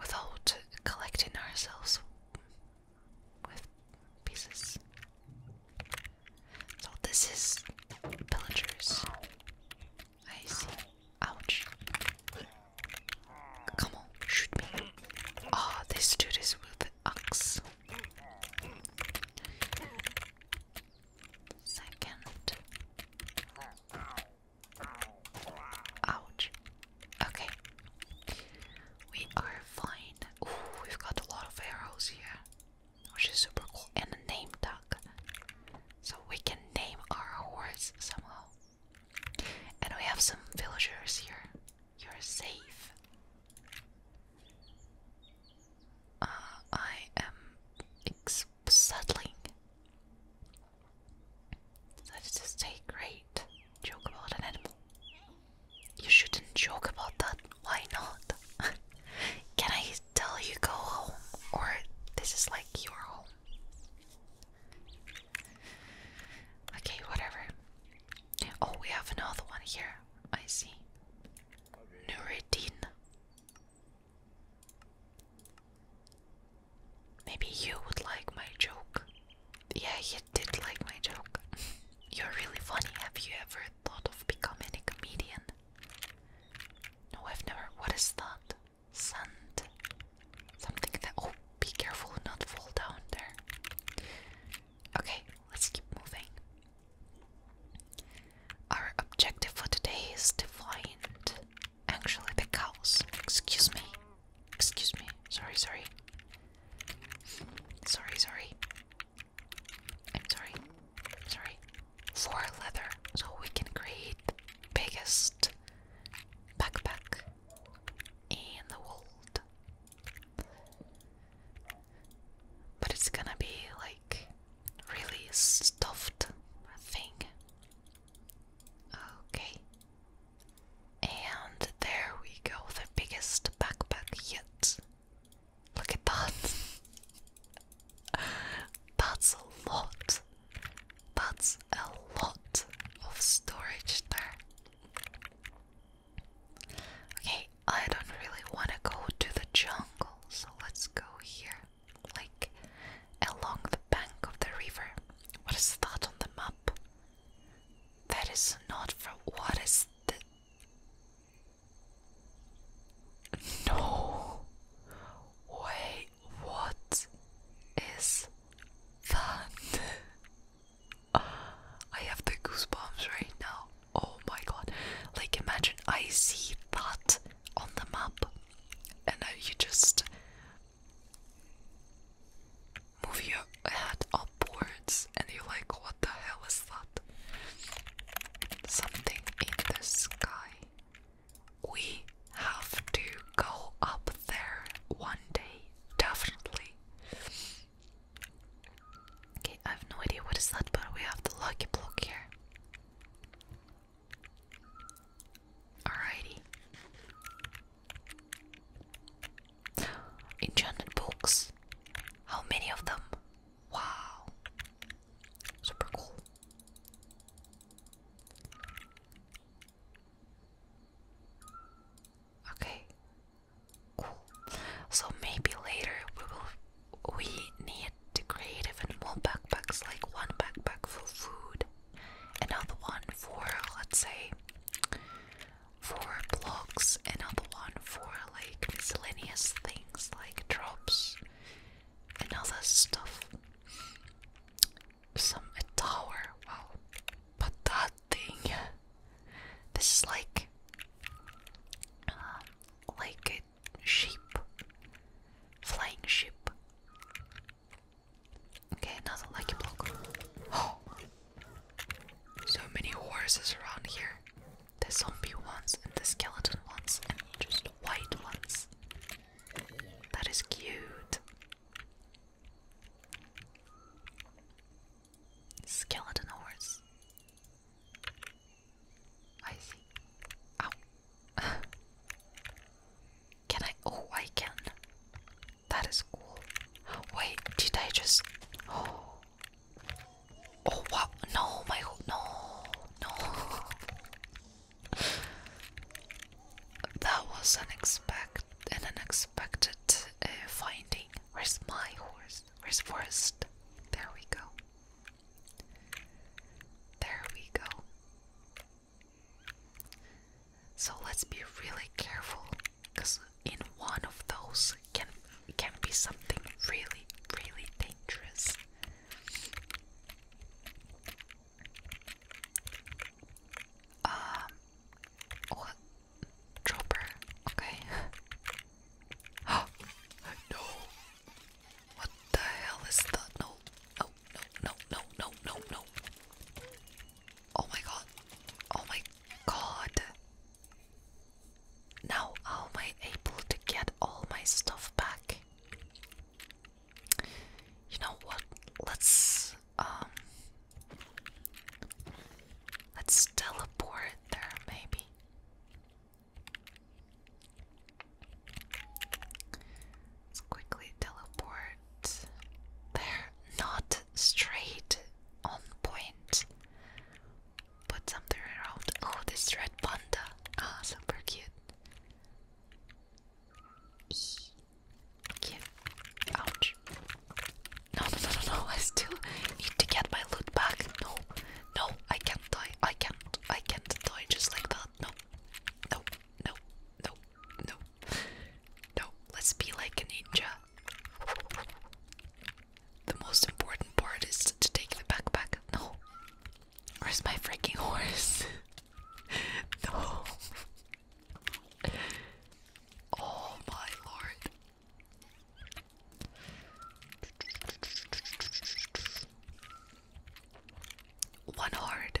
without collecting ourselves with pieces. So this is pillagers. I see. Ouch. Come on, shoot me. Ah, oh, this dude is with an axe. Second. Ouch. Okay. We are fine. Ooh, we've got a lot of arrows here. Which is super cool. And a name tag. So we can name our horse somehow. And we have some villagers here. You're safe. Uh, I am X is settling. That is a great joke about an animal. You shouldn't joke about that. Why not? Can I tell you go home? Or this is like your home? Okay, whatever. Oh, we have another one here. I see. Nuruddin. Maybe you would like my joke. Yeah, you did like my joke. You're really funny. Have you ever thought of becoming a comedian? No, I've never. What is that? Sand? Something that. Oh, be careful not fall down there. Okay, let's keep moving. Our objective for today is to find actually the cows. Excuse me. Excuse me. Sorry, sorry. Sorry, sorry. I'm sorry. Sorry. For leather, so we can create the biggest backpack in the world. But it's gonna be like really stuffed thing. Okay. And there we go, the biggest backpack yet. Look at that. That's a lot. That's a lot of storage there. Okay, I don't really want to go to the jungle, so let's go here like along the bank of the river. What is that on the map? That is not for what is the No Wait what is that? I have the goosebumps right now. Oh my god. Like imagine I see that on the map and now you just move your head upwards and you're like, what the hell is that? Something in the sky. We have to go up there one day, definitely. Okay, I have no idea what is that, but we have the lucky block here. Alrighty. Enchanted books. How many of them? Wow. Super cool. Okay. Cool. So maybe later we will we need to create even more backpacks, like one backpack for food, another one for, let's say, for blocks, another one for like miscellaneous things like drops and other stuff. Some a tower, wow. But that thing, this is like, um, like sheep. Flying sheep. Okay, another lucky block. So many horses around here. The zombie ones and the skeleton ones and just white ones. That is cute. Skeleton horse. I see. Ow. can I? Oh, I can. That is cool. Wait, did I just? Oh, oh wow! No, my no, no. that was unexpected, an unexpected uh, finding. Where's my horse? Where's Forest? There we go. There we go. So let's be really careful because in one of those can can be something really really dangerous. Um oh dropper, okay. no what the hell is that? No, no, no, no, no, no, no, no. Oh my god. Oh my god. Now, how am I able to get all my stuff back? You know what? Let's um let's teleport there maybe. Let's quickly teleport. They're not straight on point. Put something around. Oh, this red panda. Ah, oh, super cute. Ouch. no, no, no, no. I still need to get my loot back. No, no, I can't die. I can't. I can't die just like that. No, no, Nope, nope, nope, nope. Let's be like a ninja. The most important part is to take the backpack. No. Where's my freaking horse? no. Oh my lord. One heart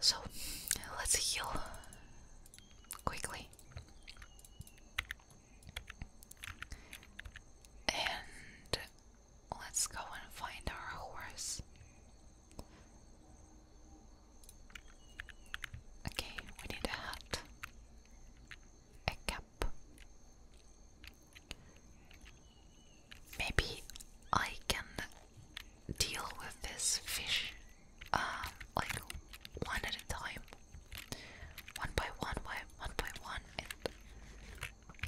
So let's heal quickly. And let's go and find our horse. Okay, we need a hat, a cap, Maybe I can deal with this fish um, like one at a time, one by one by one by one,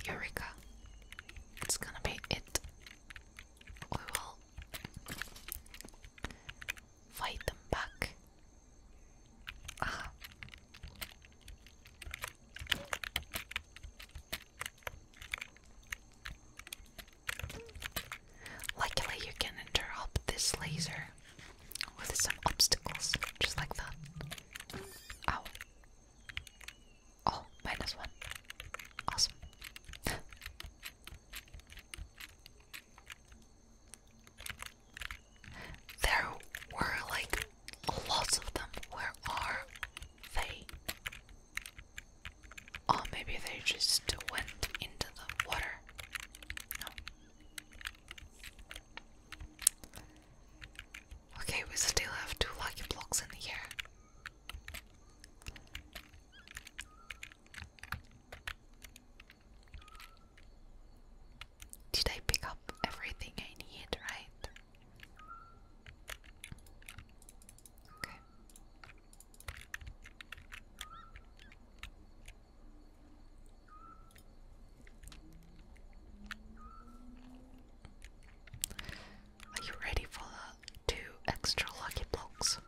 Eureka! It's gonna be it. We will fight them back. Ah. Luckily, you can interrupt this laser with some obstacles, just like that. Ow. Oh, minus one. Awesome. there were like lots of them. Where are they? Oh, maybe they just went into the water. Okay, we still have two lucky blocks in here. Did I pick up everything I need, right? Okay. Are you ready for the two extra lucky blocks?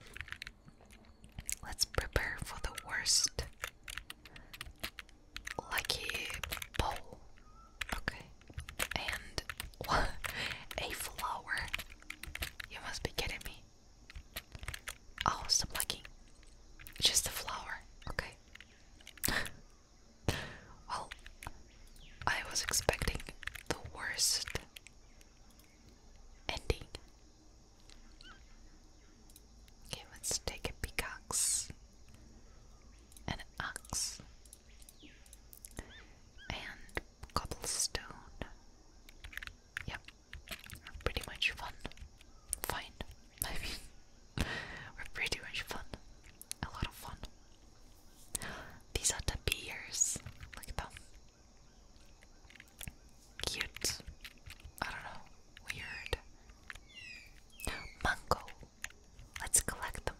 Let's prepare for the worst lucky bowl. Okay and a flower. You must be kidding me. Oh, stop plucking. Just a flower, okay. well, I was expecting the worst ending. Okay, let's take a pickaxe, an axe, and cobblestone. Yep, pretty much fun. Fine, I mean, we're pretty much fun. A lot of fun. These are the beers. Look at them. Cute. I don't know. Weird. Mango. Let's collect them,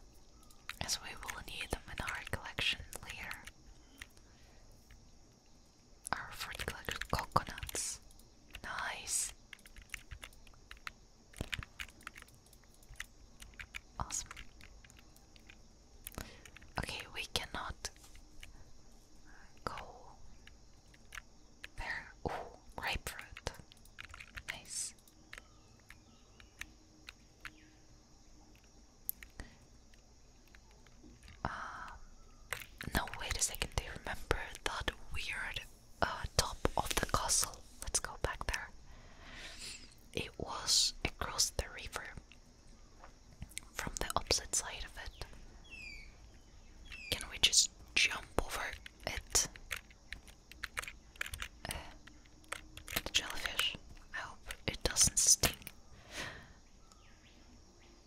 as we will need them in our collection later. Our fruit collection coconuts. Nice. Awesome. Okay, we cannot go there. grapefruit. Nice. Um, no, wait a second. Do you remember that weird uh, top of the castle? Let's go back there. It was across the river from the opposite side of it. Can we just jump over it? the jellyfish. I hope it doesn't sting.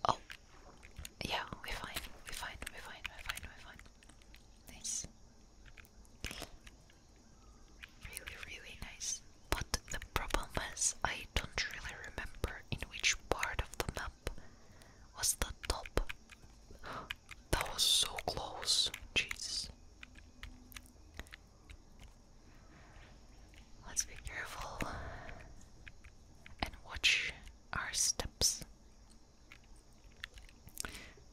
Oh, yeah, we're fine. We're fine. We're fine. We're fine. We're fine. Nice. Really, really nice. But the problem is, I don't really remember in which part of the map was the top. That was so close. Jesus. Let's be careful and watch our steps.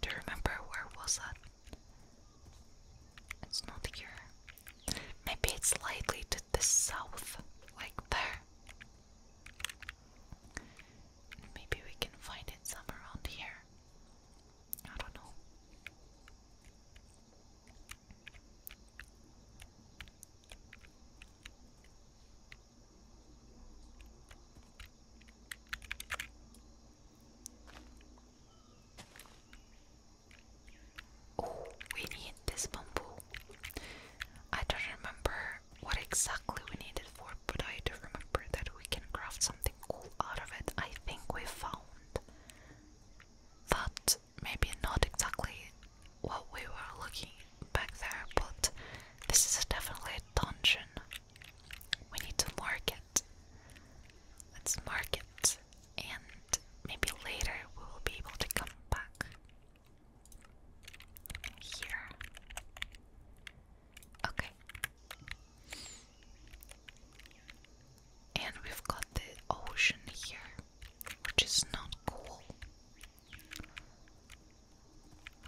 Do you remember where was that? It's not here. Maybe it's slightly to the south, like there. Maybe we can find it somewhere around here. I don't know. Oh, we need this bamboo. I don't remember what exactly we need it for, but I do remember that we can craft something cool out of it. I think we found that maybe not exactly what we were looking back there, but this is definitely a dungeon. We need to mark it. Let's mark it, and maybe later we will be able to come back here. Okay. And we've got the ocean here, which is not cool.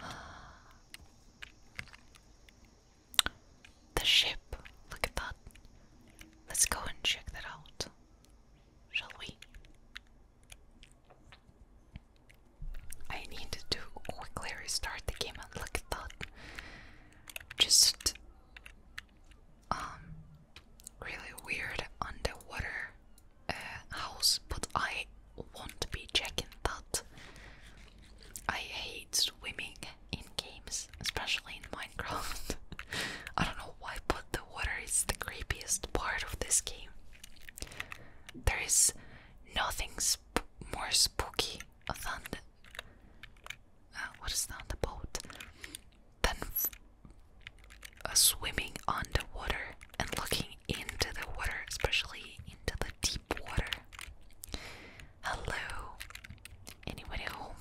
The ship, look at that. Let's go and check that out, shall we? I need to quickly restart the game look at that. Just um really weird underwater uh, house, but I won't be checking that. I hate swimming in games, especially in Minecraft. I don't know why, but the water is the creepiest part of this game. There is nothing more spooky than uh, what is that? The boat. Then uh, swimming underwater and looking into the water, especially into the deep water. Hello, anyone at home?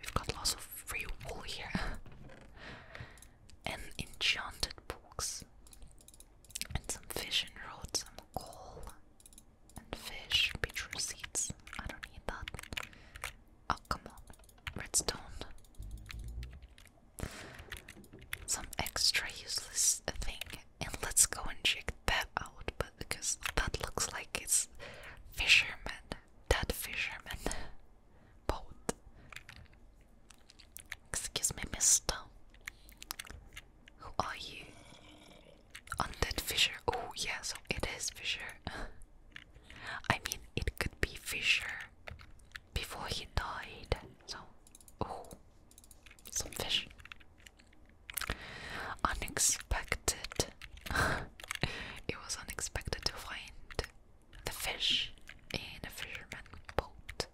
We've got lots of free wool here and enchanted books and some vision rods, some coal, and fish, beetroot seeds. I don't need that. Oh, come on. Redstone. Some extra useless thing. And let's go and check that out, but because that looks like it's fisherman. dead fisherman boat. Excuse me, mister. Who are you? Undead Fisher. Oh, yeah, so it is Fisher. I mean, it could be Fisher before he died. So, oh, some fish. Unexpected. it was unexpected to find the fish in a fisherman boat.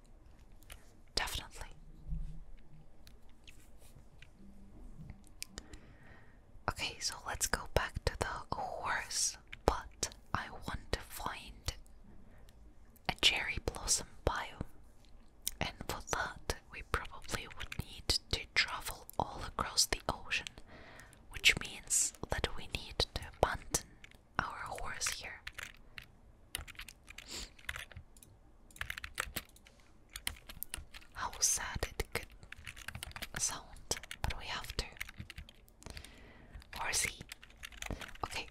Definitely. Okay, so let's go back to the horse, but I want to find a cherry blossom biome. And for that, we probably would need to travel all across the ocean, which means that we need to abandon our horse here. How sad it could sound, but we have to. Or is he? Okay.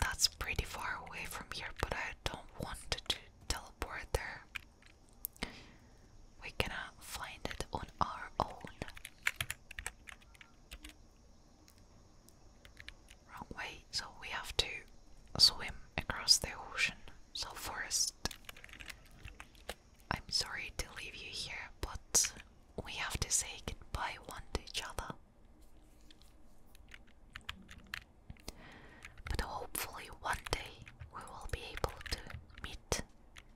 That's pretty far away from here, but I don't want to teleport there. We're gonna find it on our own. Wrong so we have to swim across the ocean. So, 1st I'm sorry to leave you here, but we have to say goodbye one to each other. But hopefully, one day we will be able to meet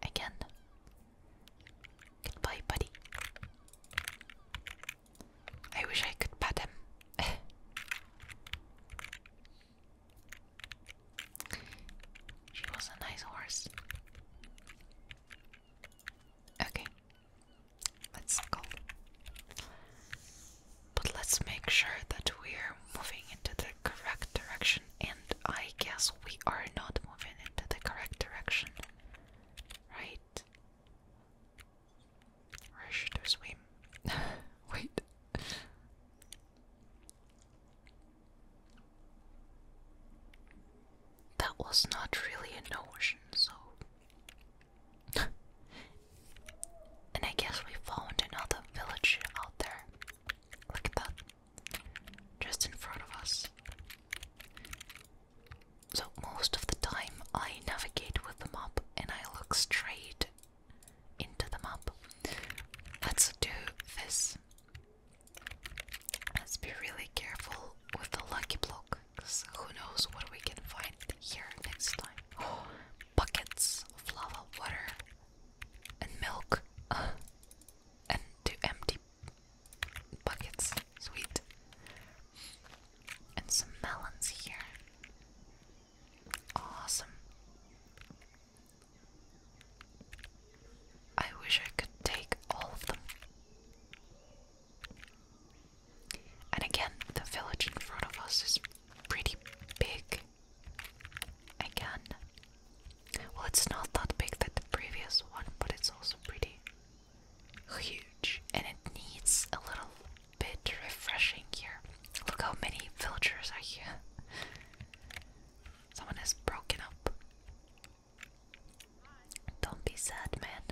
again. Goodbye, buddy. I wish I could pat him. she was a nice horse. Okay, let's go. But let's make sure that we're moving into the correct direction and I guess we are not moving in the correct direction, right? Where should swim? Wait. That was not really an ocean, so. and I guess we found another village out there. Look at that just in front of us. So, most of the time, I navigate with the map and I look straight into the map. Let's do this. Let's be really careful with the lucky block, who knows what we can find here next time. buckets of lava, water, and milk, uh, and two empty buckets. Sweet. And some melons here. Awesome. I wish I could take all of them. And again, the village in front of us is pretty big. Again, well, it's not that big that the previous one, but it's also pretty huge, and it needs a little bit refreshing here. Look how many villagers are here. Someone has broken up. Don't be sad, man.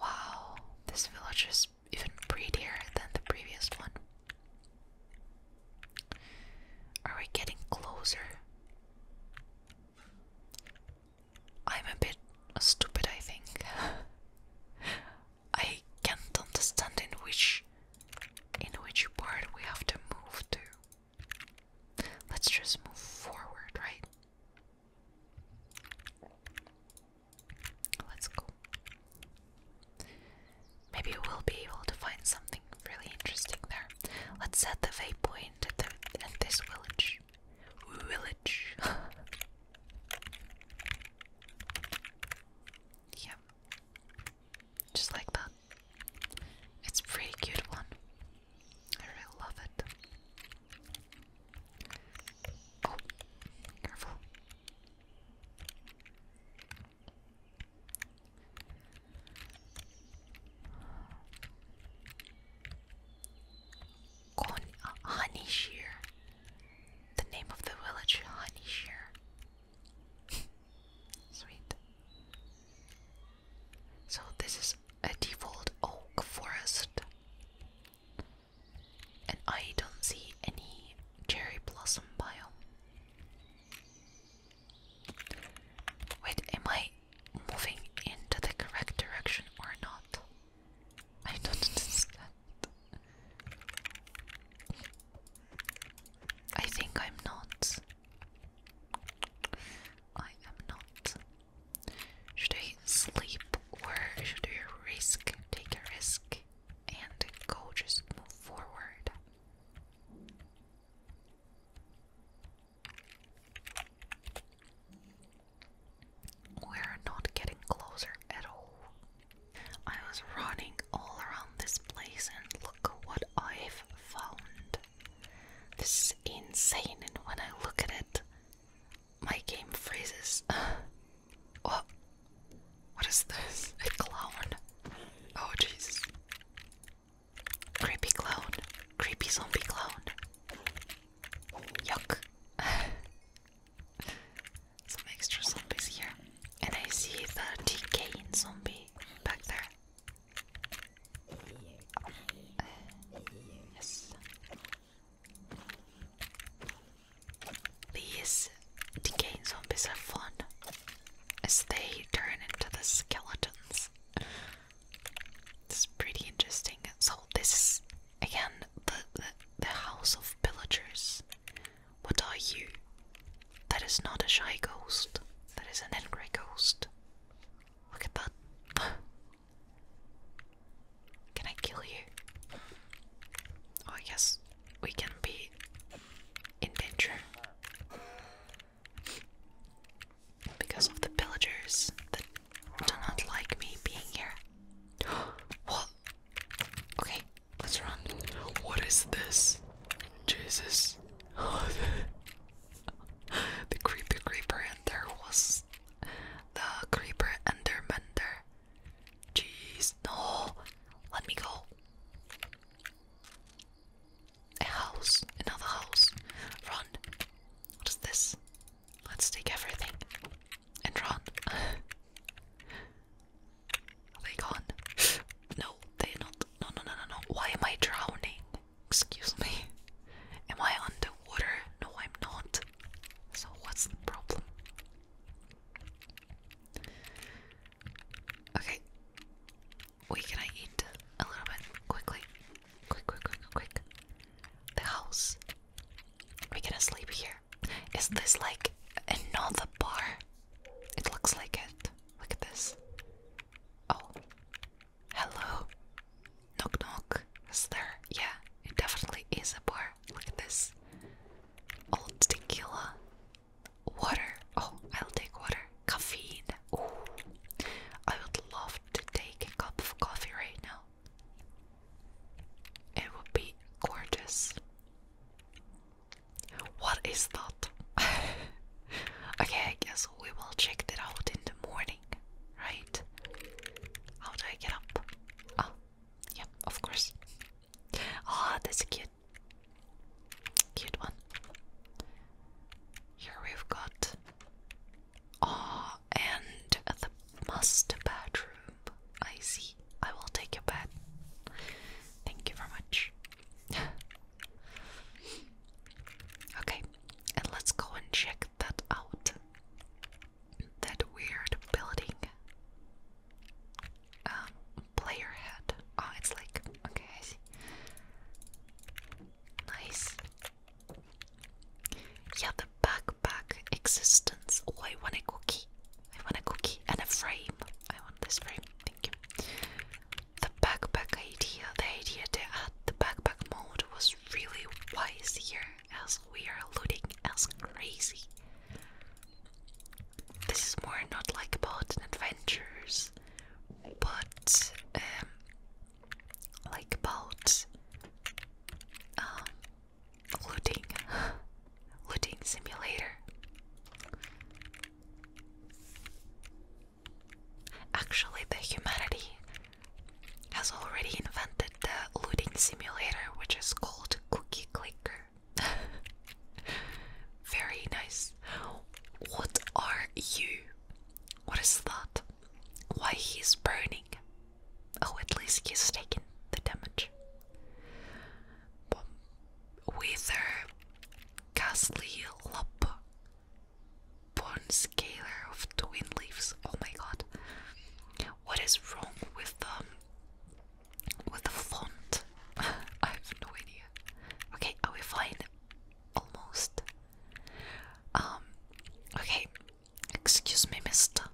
Wow, this village is even prettier than the previous one. Are we getting closer? I'm a bit stupid, I think. I can't understand in which in which part we have to move to. Let's just move forward, right? Let's go. Maybe we'll be able to find something really interesting there. Let's set the vape point at, this village. Village. yeah. Just like that. It's pretty cute one. I love it. Oh, careful. Uh, Honey shear, The name of the village, Honey shear. Sweet. So this is a default oak forest. And I don't see any cherry blossom biome. Wait, am I moving into the correct direction or not? I don't understand. I think I'm not. I am not. Should I sleep or should I risk, take a risk and go just move forward? We're not getting closer at all. I was running all around this place and look what I've found. This is insane, and when I look at it, my game freezes. oh, what is this? A clown? Oh Jesus. Creepy clown. Creepy zombie clown. Yuck. Some extra zombies here. And I see the decaying zombie back there. yes. These decaying zombies have fun as they turn into the skeletons. It's pretty interesting. So this is again the, the house of pillagers. What are you? That is not a shy ghost. That is an angry ghost. Look at that. Can I kill you? Oh, I we can be in danger Because of the pillagers that do not like me being here. What? Okay, let's run. What is this? Jesus. the creepy creeper and was the creeper and mender. Jeez, no. Let me go. A house. Another house. Run. What is this? Let's take everything and run. Are they gone? No, they're not. No, no, no, no, no. Why am I drowning? Excuse me. Am I underwater? No, I'm not. So, what's the problem? Okay. Wait, can I eat a little bit quickly? Quick, quick, quick, quick. The house. We going sleep here. Is this like another bar? It looks like it. Look at this. Oh. Hello. Knock knock. Is there? Yeah, it definitely is a bar. Look at this. Old tequila. Water. Oh, I'll take water. Caffeine. Ooh. I would love to take a cup of coffee right now. It would be gorgeous. What is that? okay, I guess we will check that out in the morning, right? How do I get up? Oh, yep. of course. Ah, oh, that's cute cute, one. Here we've got, ah, and the master bedroom. I see. I will take a bed. Thank you very much. okay, and let's go and check that out. That weird building. Um, player head. Oh, it's like okay, I see. Nice. Yeah, the backpack existence. Oh, I want a cookie. I want a cookie and a frame. I want this frame. Thank you. The backpack idea, the idea to add the backpack mode was really wise here, as we are looting as crazy. This is more not like about adventures but um, like about um, looting, looting simulator. Actually, the humanity has already invented the looting simulator, which is called Cookie Clicker. Very nice. What are you? What is that? Why he's burning? Oh, at least he's taking the damage. But wither, ghastly lop, bone scaler of twin leaves. Oh my god, what is wrong with the um, with the font? I have no idea. Okay, are we fine? Almost. Um, okay. Excuse me, mister.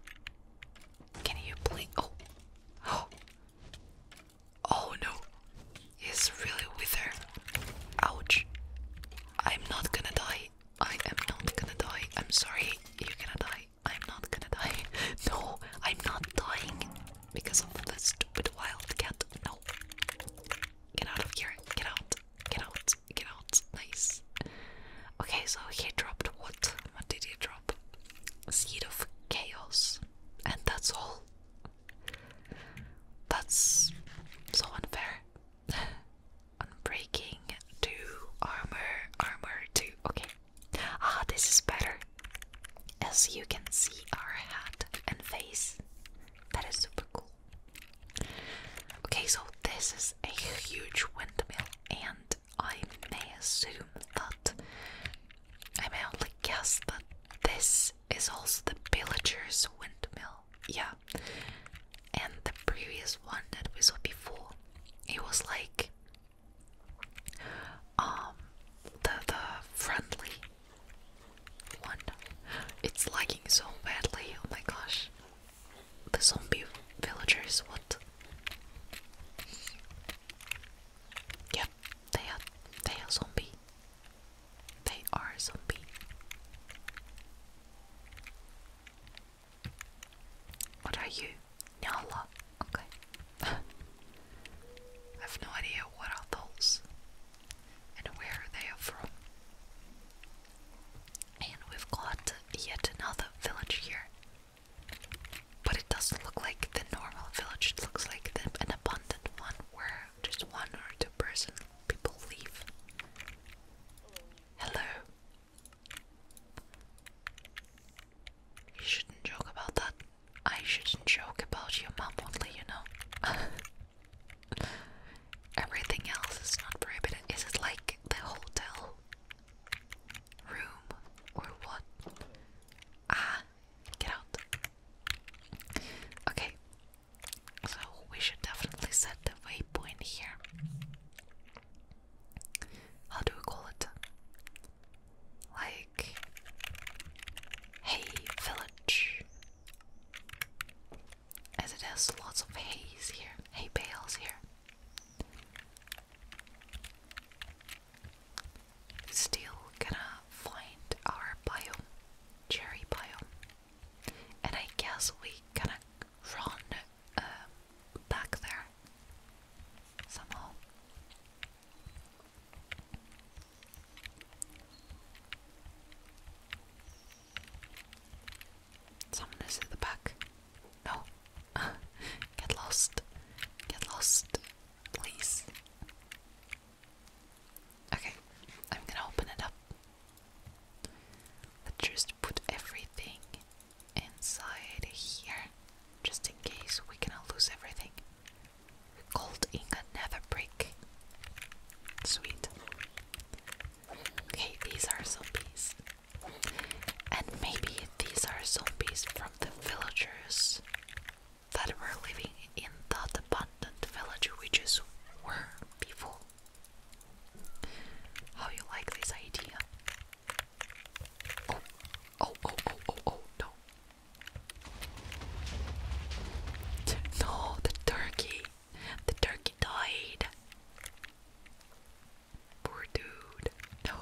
Can you please? Oh. Oh. Oh no. He's really with her. Ouch. I'm not gonna die. I am not gonna die. I'm sorry. You're gonna die. I'm not gonna die. No, I'm not dying because of the stupid wildcat. No. Get out of here. Get out. Get out. Get out. Nice. Okay, so he dropped what? What did he drop? Seed of chaos. And that's all. That's so unfair. Unbreaking two armor armor two. Okay. Ah, this is better as you can see our hat and face. That is super cool. Okay, so this is a huge windmill, and I may assume that I may only guess that this is also the villagers' windmill. Yeah, and the previous one that we saw before, it was like um, the the friendly one. It's lagging so badly. Oh my gosh. The zombie villagers, what? Yep, they are they are zombie. They are zombie. What are you? Nyala. Okay. I have no idea what are those and where they are from. And we've got yet another village here. But it doesn't look like the normal village, it looks like an abundant one where just one or two person people live. Hello. You shouldn't joke about that. I shouldn't joke about your mom only, you know. Everything else is not prohibited. Is it like the hotel room or what? Ah, get out. Okay, so we should definitely set the waypoint here. How do we call it? Like, hey, village as it has lots of haze here, hay bales here. Still gonna find our biome, cherry biome, and I guess we gonna run uh, back there somehow. Someone is at the back. No. Get lost. Get lost. Please. Okay, I'm gonna open it up. Let's just put everything inside here, just in case we're going lose everything. Cold ink can never break. Sweet. Okay, these are zombies. And maybe these are zombies from the villagers that were living in that abandoned village we just were before. How you like this idea? Oh, oh, oh, oh, oh, oh, no. No, the turkey. The turkey died. Poor dude. No.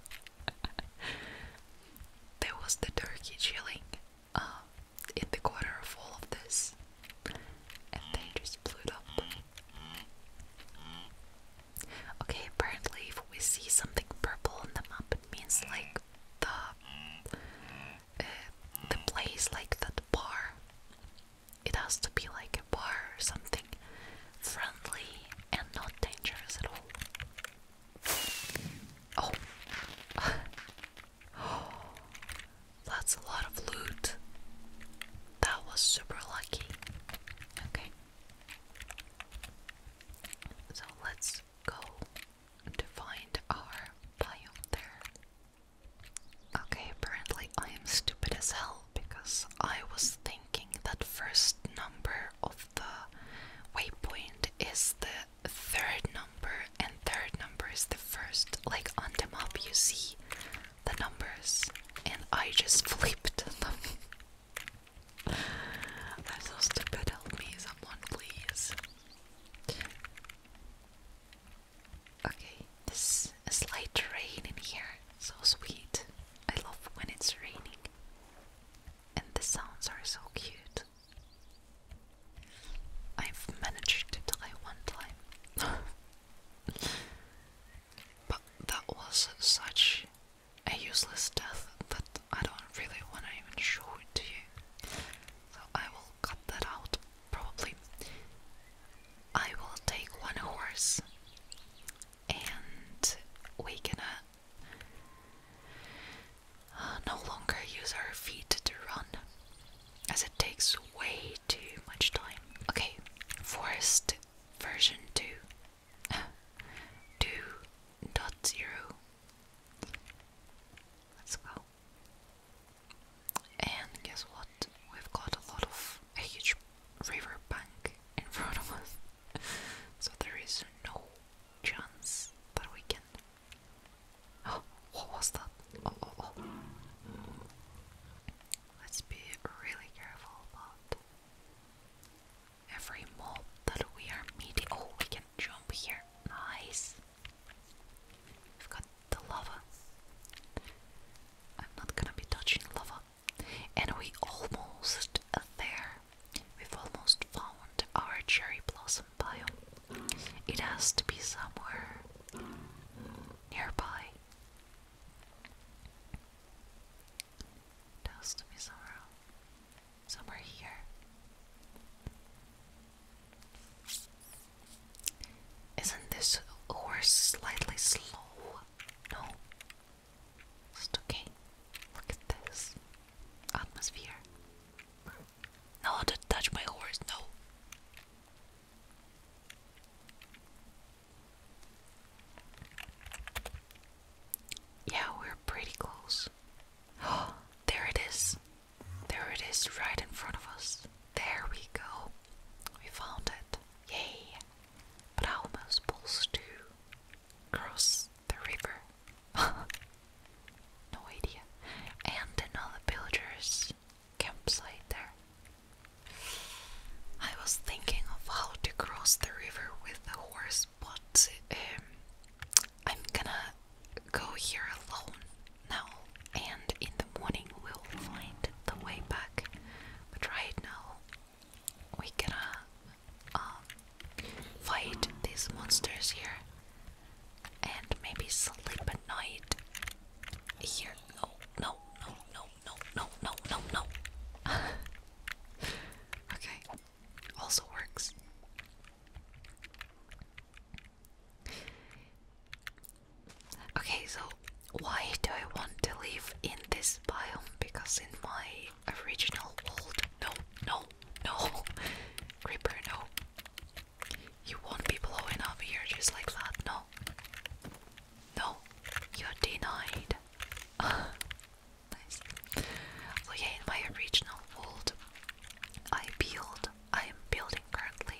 there was the turkey chilling um, in the corner of of this. And they just blew it up. Okay, apparently if we see something purple on the map, it means like the the place like that bar. It has to be like a bar or something friendly and not dangerous at all. oh. That's a lot of loot. That was super lucky. Okay. So let's go to find our biome there. Okay, apparently I am stupid as hell because I was thinking that first number of the waypoint is the third number and third number is the first. Like on the map you see the numbers and I just flipped them. I'm so stupid, help me someone please. Okay, this a slight rain in here. So sweet. I love when it's raining. And the sounds are so cute. I've managed to die one time. but that was such a useless death that I don't really want to even show it to you so I will cut that out probably. I will take one horse and we can uh, uh, no longer use our feet to run as it takes way too much time. Okay, forest version 2 2.0 Let's go now. And guess what? We've got a lot of a huge river bank in front of us, so there is no chance that we can. Oh, what was that? Oh, oh, oh. Let's be really careful about every mob that we are meeting. Oh, we can jump here. Nice. We've got the lava. I'm not gonna be touching lava. And we almost there. We've almost found our cherry blossom biome. It has to be somewhere nearby. It has to be somewhere, somewhere here. Isn't this horse slightly slow? No. okay. Look at this atmosphere. No, don't touch my horse. No. Yeah, we're pretty close. Oh, there it is. There it is, right in front of us. There we go. We found it. Yay! But how am I supposed to cross the river? no idea. And another villager's campsite there. I was thinking of how to cross the river with the horse, but um, I'm gonna go here alone now, and in the morning we'll find the way back. But right now, we gotta uh, um, fight these monsters here, and maybe sleep at night here. No, no, no, no, no, no, no, no, no. okay, also works. Okay, so why do I want to live in this biome? Because in my original world, no, no, no, Creeper, no. You won't be blowing up here just like that, no. No, you're denied. nice. So yeah, in my original world, I peeled. I am building currently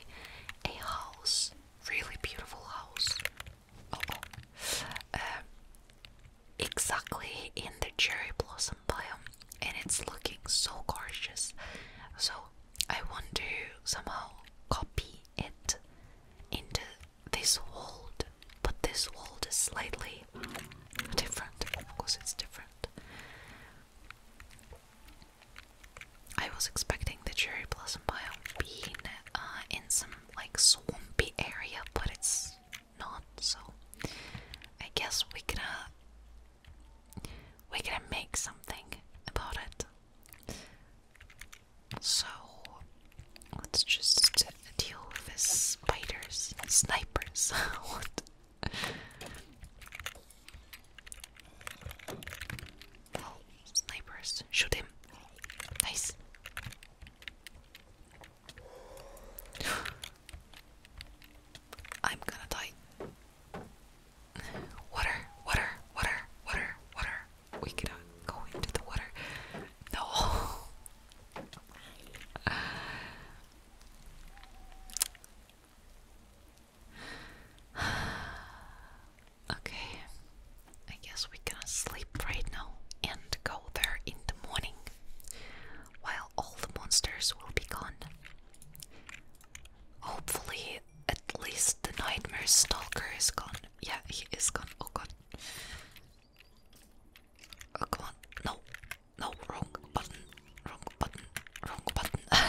a house, really beautiful house. Oh, oh. Um, exactly in the cherry blossom biome, and it's looking so gorgeous. So I want to somehow copy it into this world, but this world is slightly different. Of course, it's different. I was expecting the cherry blossom biome being uh, in some like swampy area, but it's not. So I guess we gonna we gonna make something about it. So let's just deal with the spiders, snipers. what? snipers. Shoot him. Nice. I'm gonna die. Water, water, water, water, water. We cannot go into the water. No. okay, I guess we can sleep right now and go there in the morning while all the monsters will be gone. Hopefully, at least the nightmare stalker is gone. Yeah, he is gone. Oh god. Oh, come on. No. No, wrong button. Wrong button. Wrong button.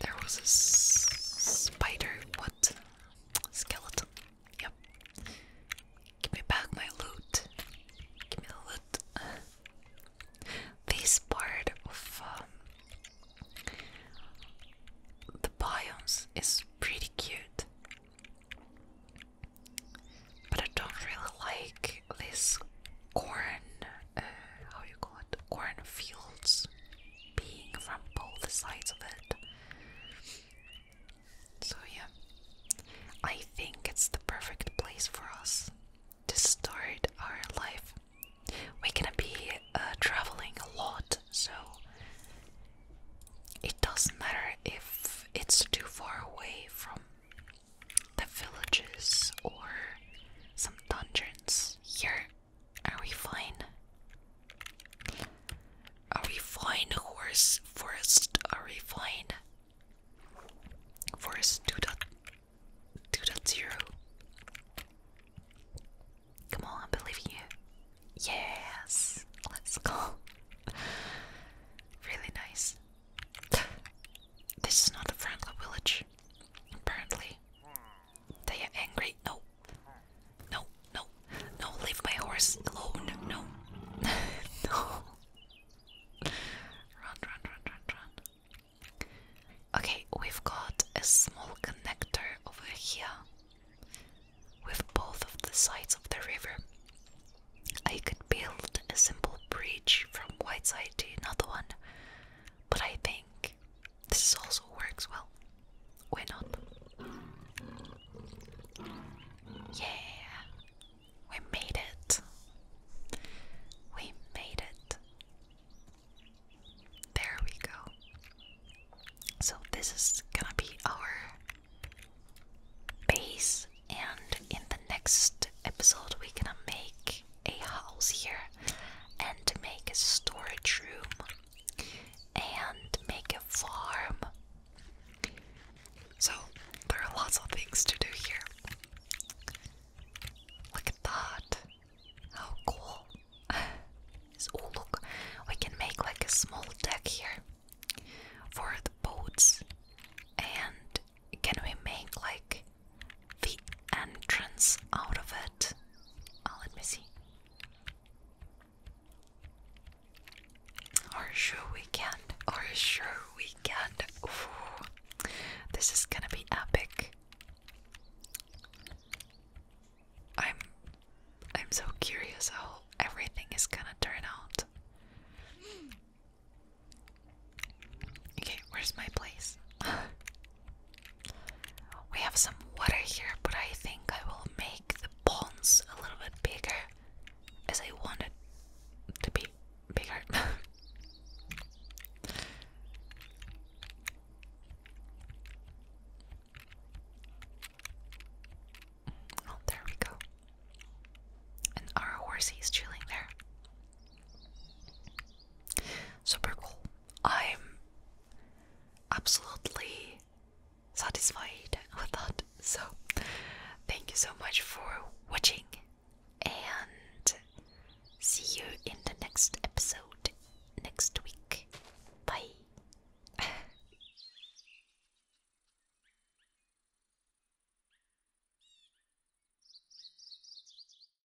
There was a spider. What? Skeleton. Yep. Give me back my loot. Give me the loot. this part of um, the biomes is pretty cute. But I don't really like this corn, uh, how you call it, corn fields being from both sides of it. So yeah, I think it's the perfect place for us to start our life. We're gonna be uh, traveling a lot, so it doesn't matter if it's too far away from the villages or some dungeons. Here, are we fine? Are we fine, horse? Forest, are we fine? Forest 2.0. Come on, I believe in you. Yes, let's go. really nice. This is not a friendly village. Apparently, they are angry. No, no, no, no, leave my horse alone. No, no. Run, run, run, run, run. Okay, we've got a small connector over here with both of the sides of the river. I could build a simple bridge from Whiteside to another one but I think this also works well. We're not? Yeah, we made it. We made it. There we go. So, this is gonna be our base, and in the next episode, we're gonna make a house here and make a storage room and make a farm. So there are lots of things to do here. Look at that. How cool. oh look, we can make like a small deck here for the boats and can we make like the entrance out of it. I'll oh, let me see. Are sure we can? Are sure we can? Ooh, this is gonna be epic. I'm I'm so curious how everything is gonna turn out. Okay, where's my place? We have some water here, but I think I will make the ponds a little bit bigger as I want it to be bigger. oh, there we go. And our horsey is chilling there. Super cool. I'm absolutely satisfied with that. So, thank you so much for watching, and see you in the next episode next week. Bye.